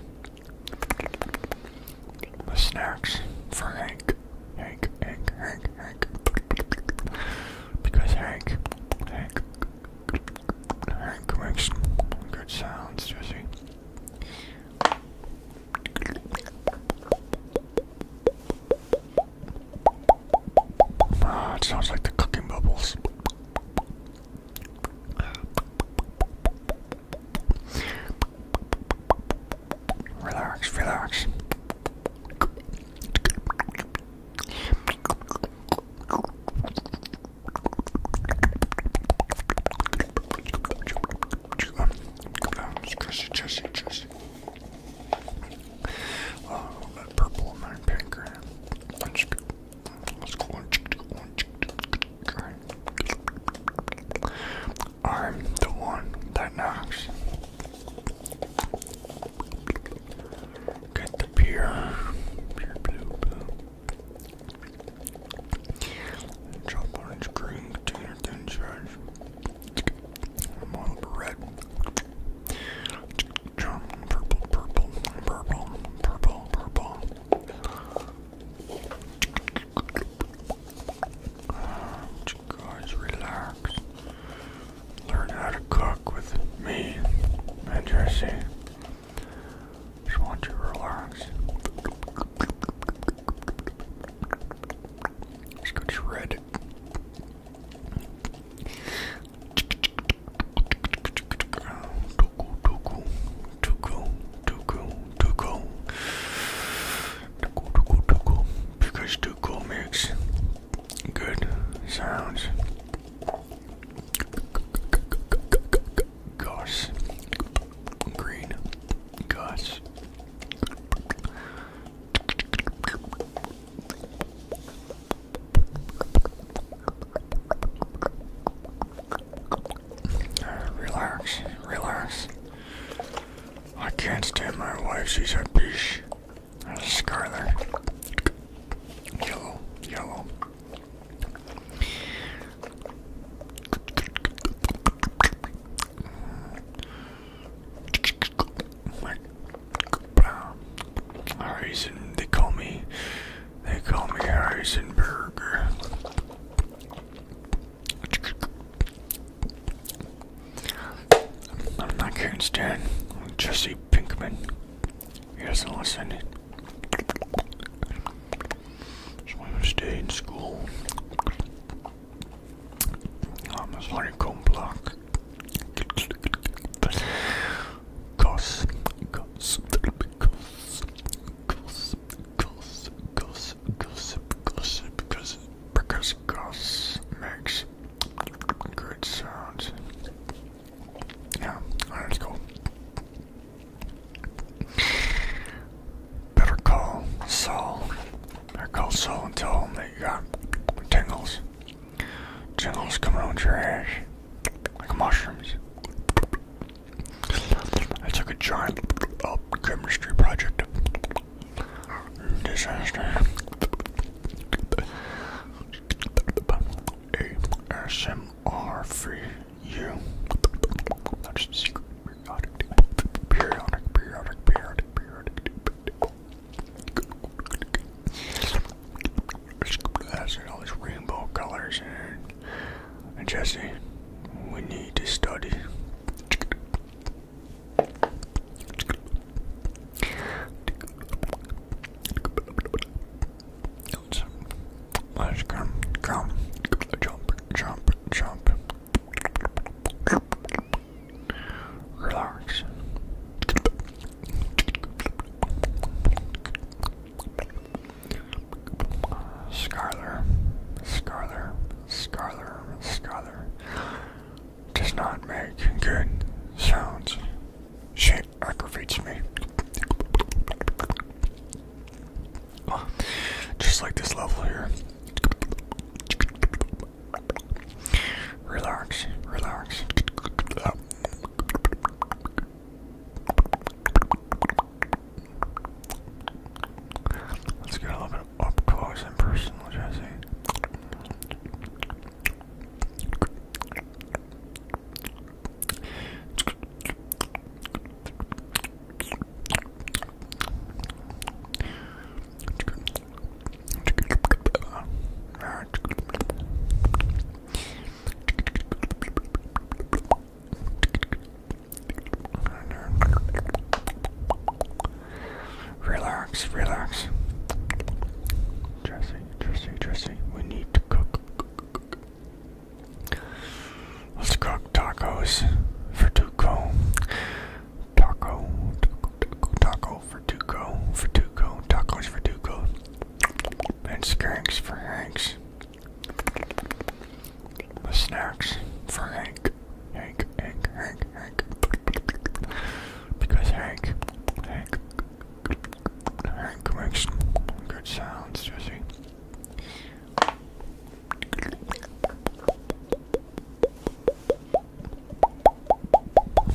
The snacks for Hank. Hank, Hank, Hank, Hank. Because Hank, Hank, good sounds, Jesse. Ah, it sounds like the cooking bubbles. Relax, relax. Jesse, Jesse, Jesse. Oh, that purple in my pink. Let's go on. I'm the one that knocks. Get the beer. Beer blue blue orange, green, container, thin shreds. Marble red. Jump, purple, purple, purple, purple, purple. Uh, guys, relax. Learn how to cook with me and Jesse. Just want you to relax. Let's go shred. Tuku, tuku, tuku, tuku, tuku. Tuku, tuku, tuku. Because tuku makes good sounds. Gosh. Green. Gosh. Relax, relax. I can't stand my wife, she's a bitch. Scarlet. Yellow, yellow. Harrison, they call me, they call me Harrison Burger. I'm not Karen Stan, I'm Jesse Pinkman. He doesn't listen. So I'm gonna stay in school. I'm a slurry cone block. Cause, cause, cause, cause, cause, cause, gossip, gossip, because because goss makes good sounds. Yeah, alright, let's go. Better call Saul. Better call Saul and tell him that you got tingles. Tingles coming on your ass. Like mushrooms. I took a giant uh, chemistry project. Disaster. ASMR free you. That's the secret. Periodic, periodic, periodic, periodic, periodic. That's all these rainbow colors and, and Jesse, we need to study. Let's, let's come, come, jump, jump, jump. Relax. Scarler, Scarler, Scarler, Scarler does not make good sounds. She aggravates me. Oh, just like this level here. Relax, relax. Let's get a little bit up close and personal, Jesse. Relax, relax. Jesse, Jesse, Jesse, we need to cook. Let's cook tacos for Tuco. Taco, taco, taco, taco for Tuco, for Tuco, tacos for Tuco. And skanks for Hanks. The snacks for Hank. Hank, Hank, Hank, Hank. Because Hank, Hank, Hank makes good sounds, does he?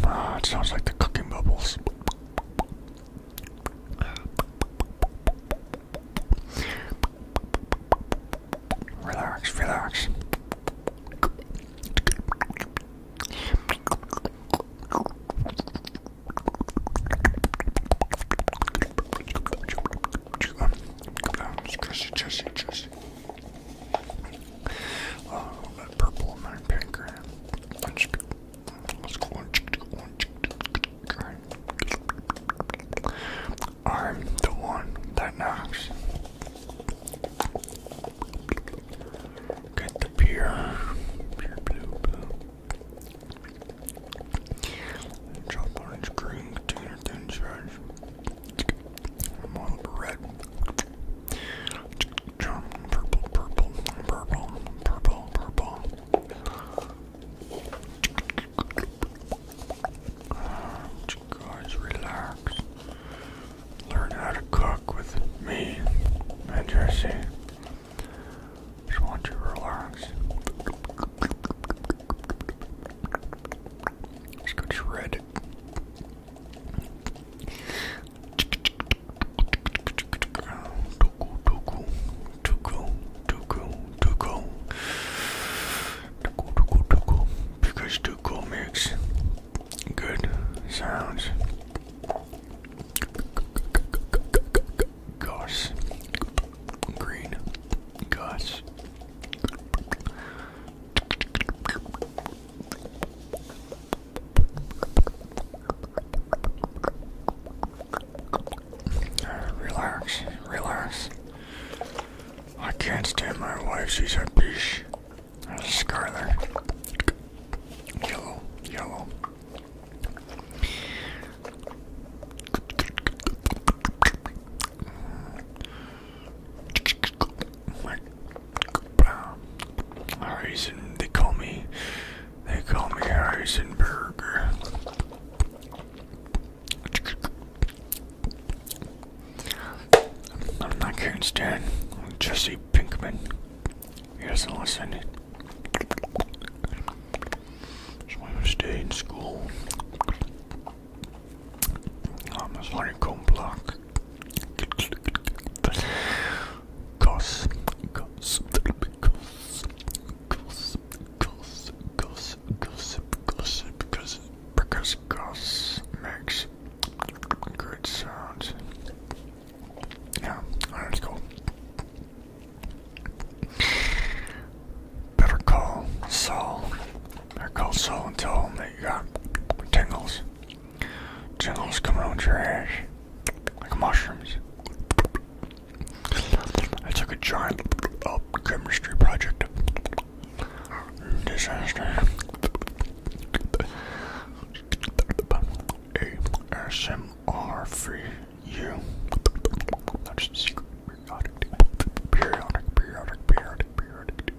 Ah, it sounds like the cooking bubbles. Relax, relax. Jesse, Jesse, Jesse. Uh, that purple and that pink. Let's go on. I'm the one that knocks. Get the beer. Beer blue blue orange, green, container, thin shreds. red. purple, purple, purple, purple, purple. Guys, relax. Learn how to cook with me and just want you to relax. Let's go shred. Tuku, tuku, tuku, tuku, tuku. Tuku, tuku, tuku. Because tuku makes good sounds. Gosh. Green. Gosh. Relax, relax. I can't stand my wife, she's a bitch. a Scarlet. Yellow, yellow. Harrison, they call me, they call me Harrison I'm not Karen Stan, I'm Jesse Pinkman. He doesn't listen. So I stay in school on this honeycomb block. Cos, because, because, because, gossip, gossip, gossip, gossip, gossip, because goss makes good sounds. Yeah, that's cool. Better call Saul. Better call Saul and tell him that you got tingles. Tingles coming out your ass. Like mushrooms. I took a giant oh, chemistry project. Disaster. ASMR free you. That's the secret. Periodic, periodic, periodic, periodic, periodic.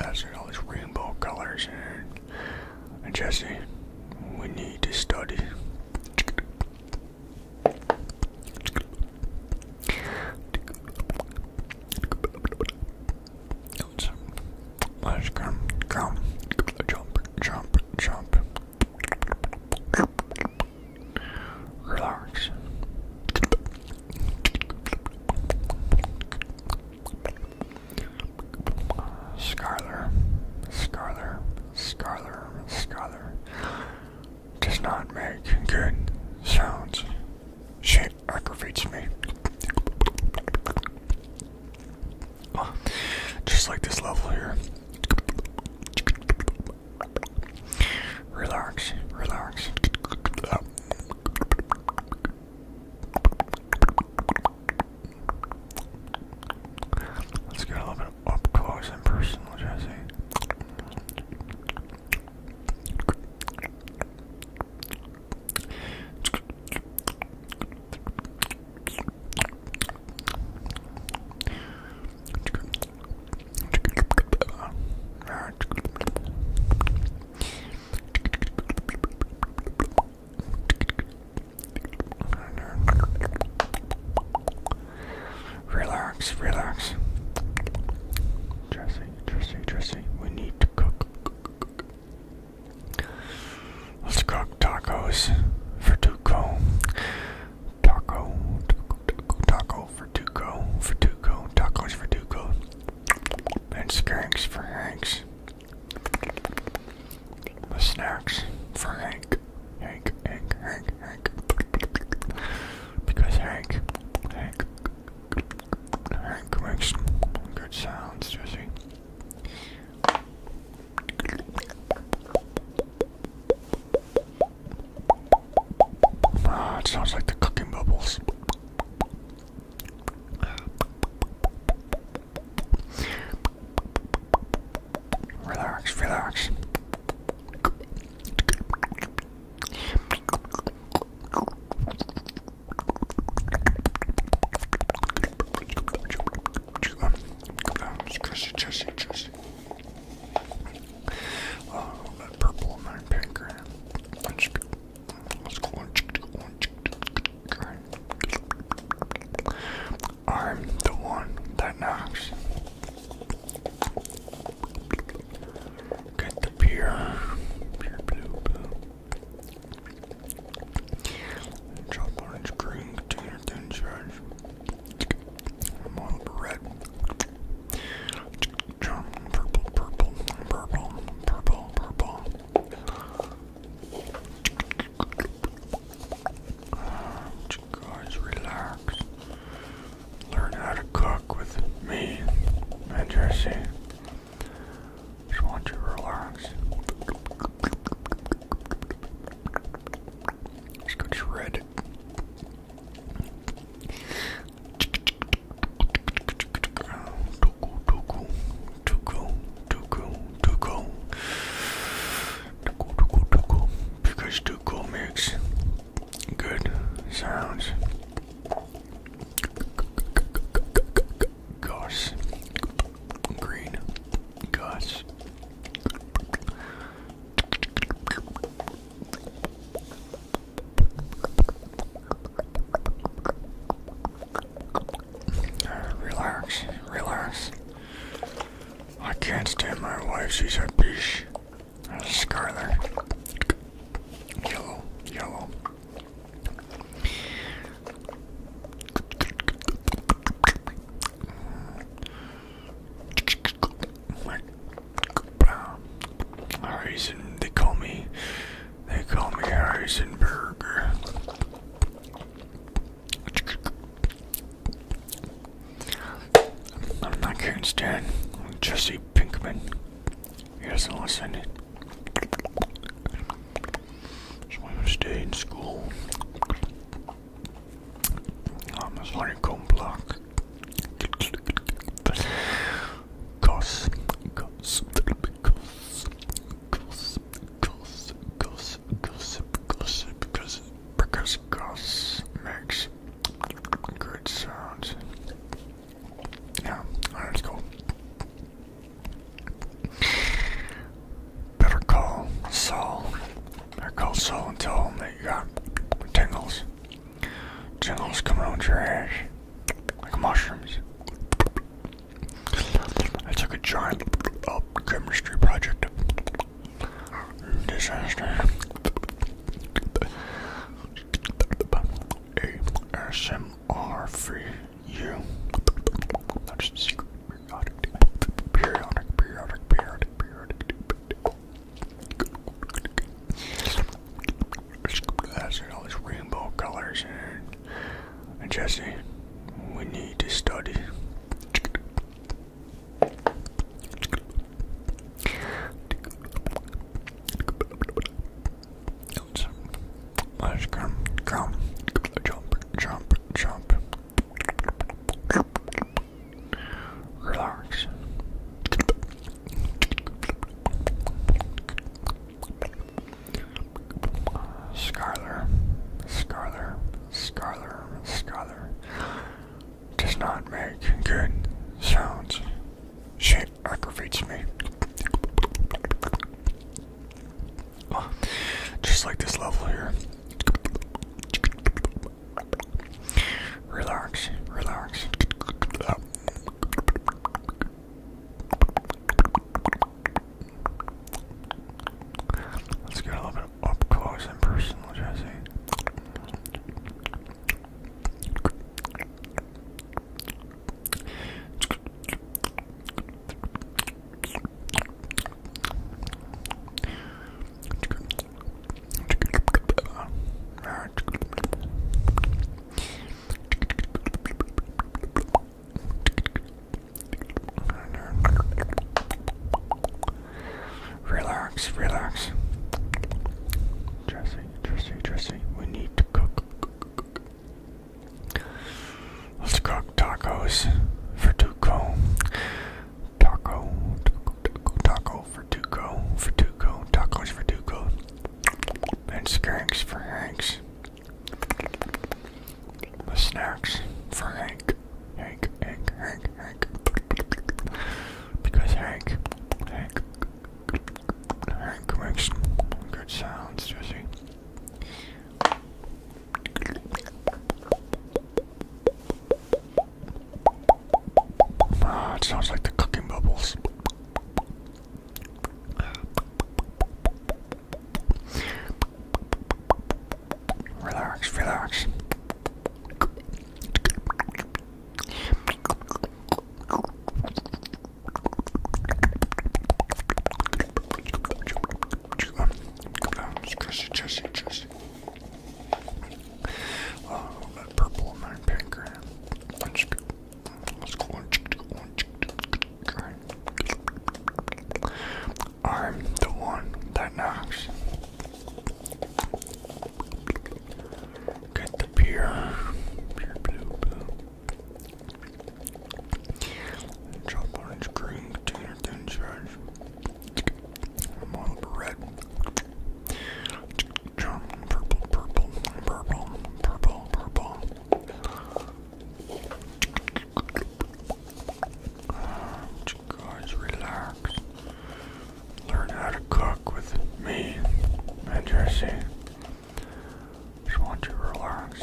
I see all these rainbow colors, and, and Jesse, we need to study. Let's, let's come, come, jump, jump, jump. Relax. Scarler, Scarler, Scarler, Scarler does not make good sounds. She aggravates me. Just like this level here. Relax, relax. Let's get a little bit up close and personal, Jesse. Relax, relax. Jesse, Jesse, Jesse, we need to cook. Let's cook tacos for Tuco. Taco, taco, taco, taco for Tuco, for Tuco, tacos for Tuco. And skanks for Hanks. The snacks for Hank. Hank, Hank, Hank, Hank. Because Hank, Hank, Hank makes good sounds, does he? Ah, it sounds like the cooking bubbles. Relax, relax. Chrissy, Chrissy, Chrissy. Uh, that purple and that pink. Let's, let's go on. I'm the one that knocks. Get the beer. Chop orange, green, container, thin shreds. red. Jump, purple, purple, purple, purple, purple. guys, relax. Learn how to cook with me and just want you to relax. Just go shredded. Tuku, tuku, tuku, tuku, tuku. Tuku, tuku, tuku. Because tuku makes good sounds. Gosh. Green. Gosh. Relax, relax. I can't stand my wife, she's a bitch. A scarlet. Yellow, yellow. Harrison, they call me, they call me Harrison I'm not Karen Stan, I'm Jesse Pinkman. He doesn't listen. So I'm gonna stay in school. I'm a honeycomb block. Cause, because, because, because, gossip, gossip, gossip, gossip, gossip, because goss makes good sounds. Yeah, alright, let's go. Better call Saul. Better call Saul and tell him that you got tingles. Tingles coming out your ass. Like mushrooms. I took a giant up chemistry project. Disaster. ASMR free you. Not just secret, periodic, periodic, periodic, periodic, That's all these rainbow colors and, Jesse, we need to study. Let's come, come, jump, jump, jump. Relax. Scholar, scholar, scholar, scholar, does not make good sounds. Shit aggravates me. Just like this level here. Relax, relax. Let's get a little bit up close and personal, Jesse. Relax, relax. Jesse, Jesse, Jesse, we need to cook. cook, cook, cook. Let's cook tacos for Tuco. Taco, taco, taco, taco for Tuco, for Tuco, tacos for Tuco. And skanks for Hanks. The snacks for Hank. Hank, Hank, Hank, Hank. Because Hank, Hank, Hank makes good sounds, does he? Ah, it sounds like the cooking bubbles. Relax, relax. Come on, squishy, chushy, chushy. Oh, that purple in my pink Let's go. Let's go. I'm the one that knocks. Get the beer chopped orange, green, container, thin shreds, marble red, purple, purple, purple, purple, purple. guys, relax. Learn how to cook with me and Jesse. Just want you to relax.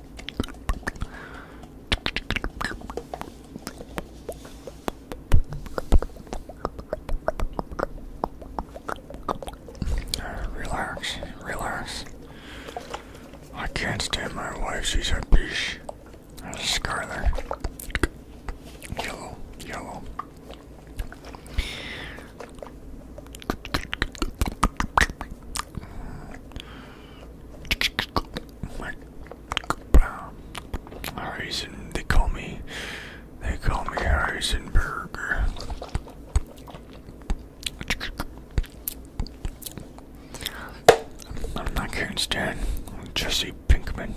Relax, relax. I can't stand my wife, she's a bitch. A scarlet. Yellow, yellow reason they call me, they call me Harrison I'm not Karen Stan, I'm Jesse Pinkman.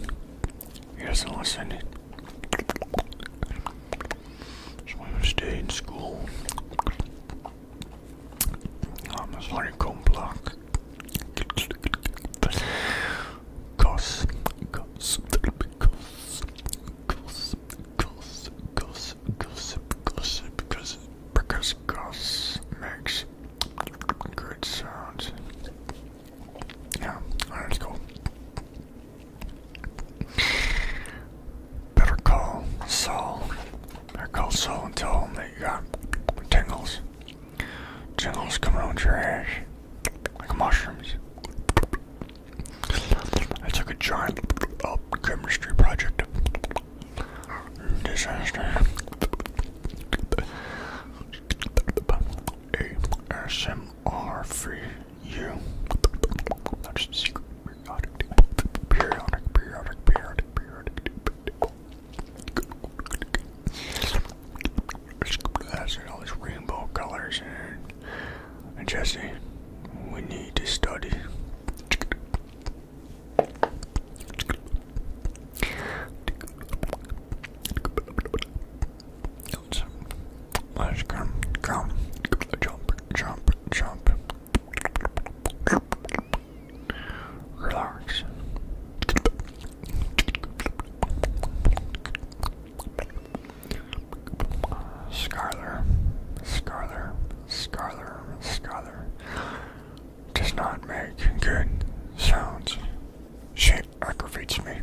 He doesn't listen. So I'm going stay in school. I'm a Cos, cos, cos, cos, cos, makes good sounds. Yeah, alright, let Better call Saul. Better call Saul and tell him that you got tingles. Tingles coming out your ass. Like mushrooms. I took a giant oh, chemistry project. Disaster. ASMR free you periodic, periodic, periodic, periodic, periodic. all these rainbow colors, and, and Jesse, we need to study. Let's come, come, jump, jump, jump. Relax. Scholar, scholar, scholar, scholar, does not make good sounds. She aggravates me.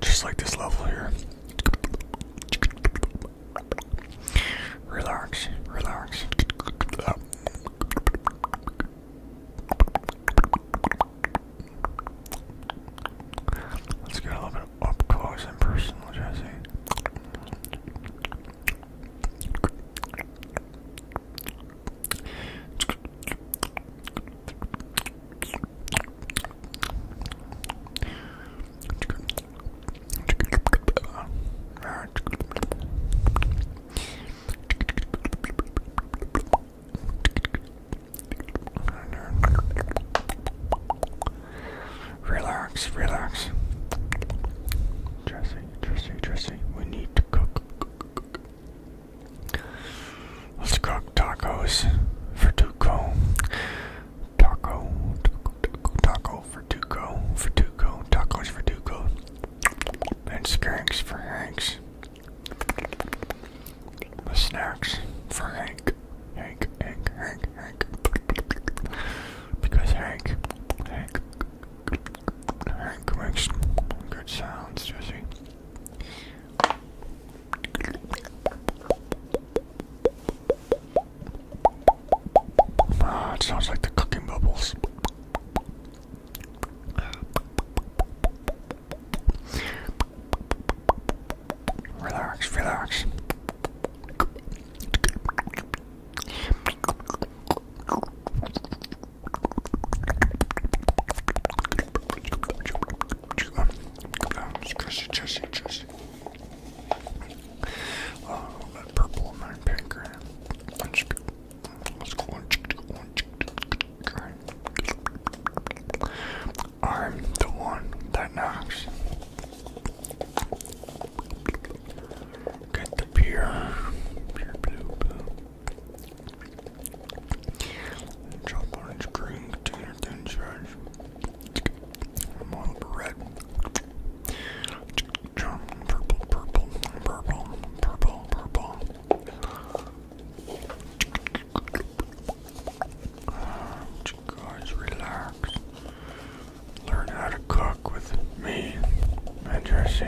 Just like this level here. Relax, relax. Let's get a little bit up close and personal, Jesse. Relax, relax. Jesse, Jesse, Jesse, we need to cook. Let's cook tacos for Duco. Taco, taco, taco for Duco, for Duco, tacos for Duco, and skanks for Hanks. The snacks for Hank, Hank, Hank, Hank, Hank, because Hank, Hank, Hank makes good sounds, does he? Ah, it sounds like the cooking bubbles. Relax, relax. Jesse, Jesse, Jesse. Uh, a little bit purple in my pink. I'm the one that knocks. Get the pure, pure blue, blue. Chop orange, green, container, thin more red. Purple, purple, purple, purple, purple. Guys, relax. Learn how to cook with me and Just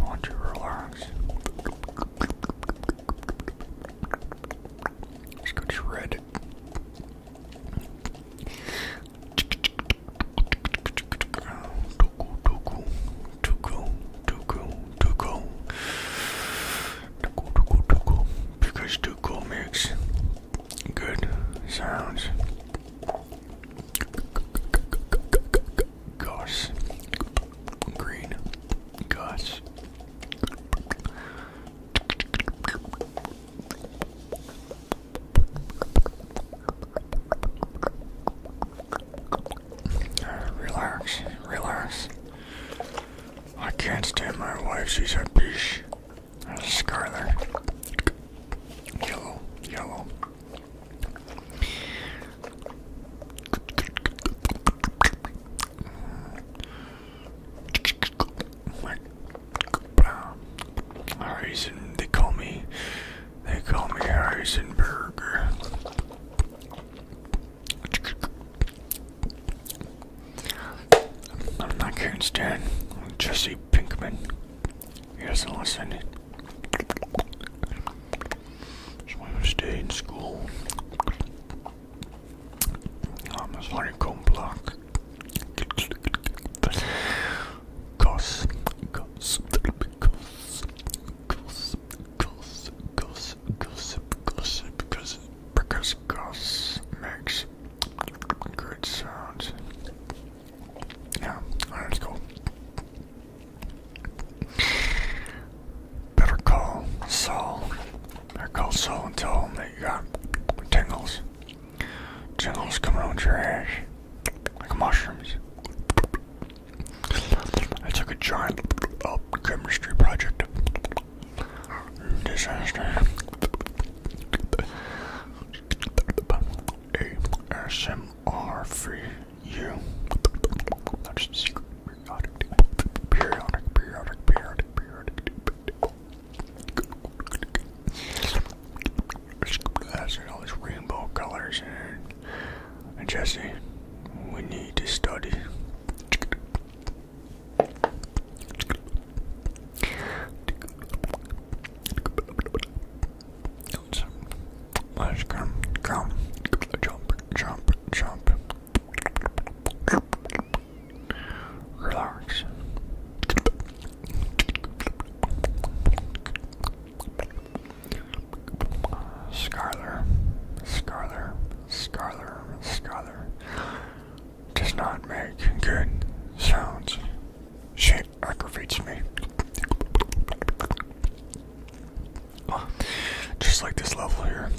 want you to relax. Let's go shred because Tuco makes good sounds. Goss, green, goss, Relax, relax. I can't stand my wife, she's a bitch. That's scarlet. Yellow, yellow. Harrison, they call me, they call me Harrison I'm not Karen Stan, I'm Jesse Pinkman. He doesn't listen. to stay in school. I'm a honeycomb block. Cos, gossip, gossip, gossip, gossip, gossip, gossip, gossip, gossip, because goss makes good sounds. Yeah, that's cool. Better call Saul they're called so that you got tingles. Tingles coming out your ass. Like mushrooms. I took a giant oh, chemistry project. Disaster. ASMR That's secret periodic, periodic, periodic, periodic. There's all these rainbow colors and, and Jesse, we need to study. Let's come, come, jump, jump, jump. Relax. Scholar, scholar, scholar, Scarler does not make good sounds. She aggravates me. Just like this level here.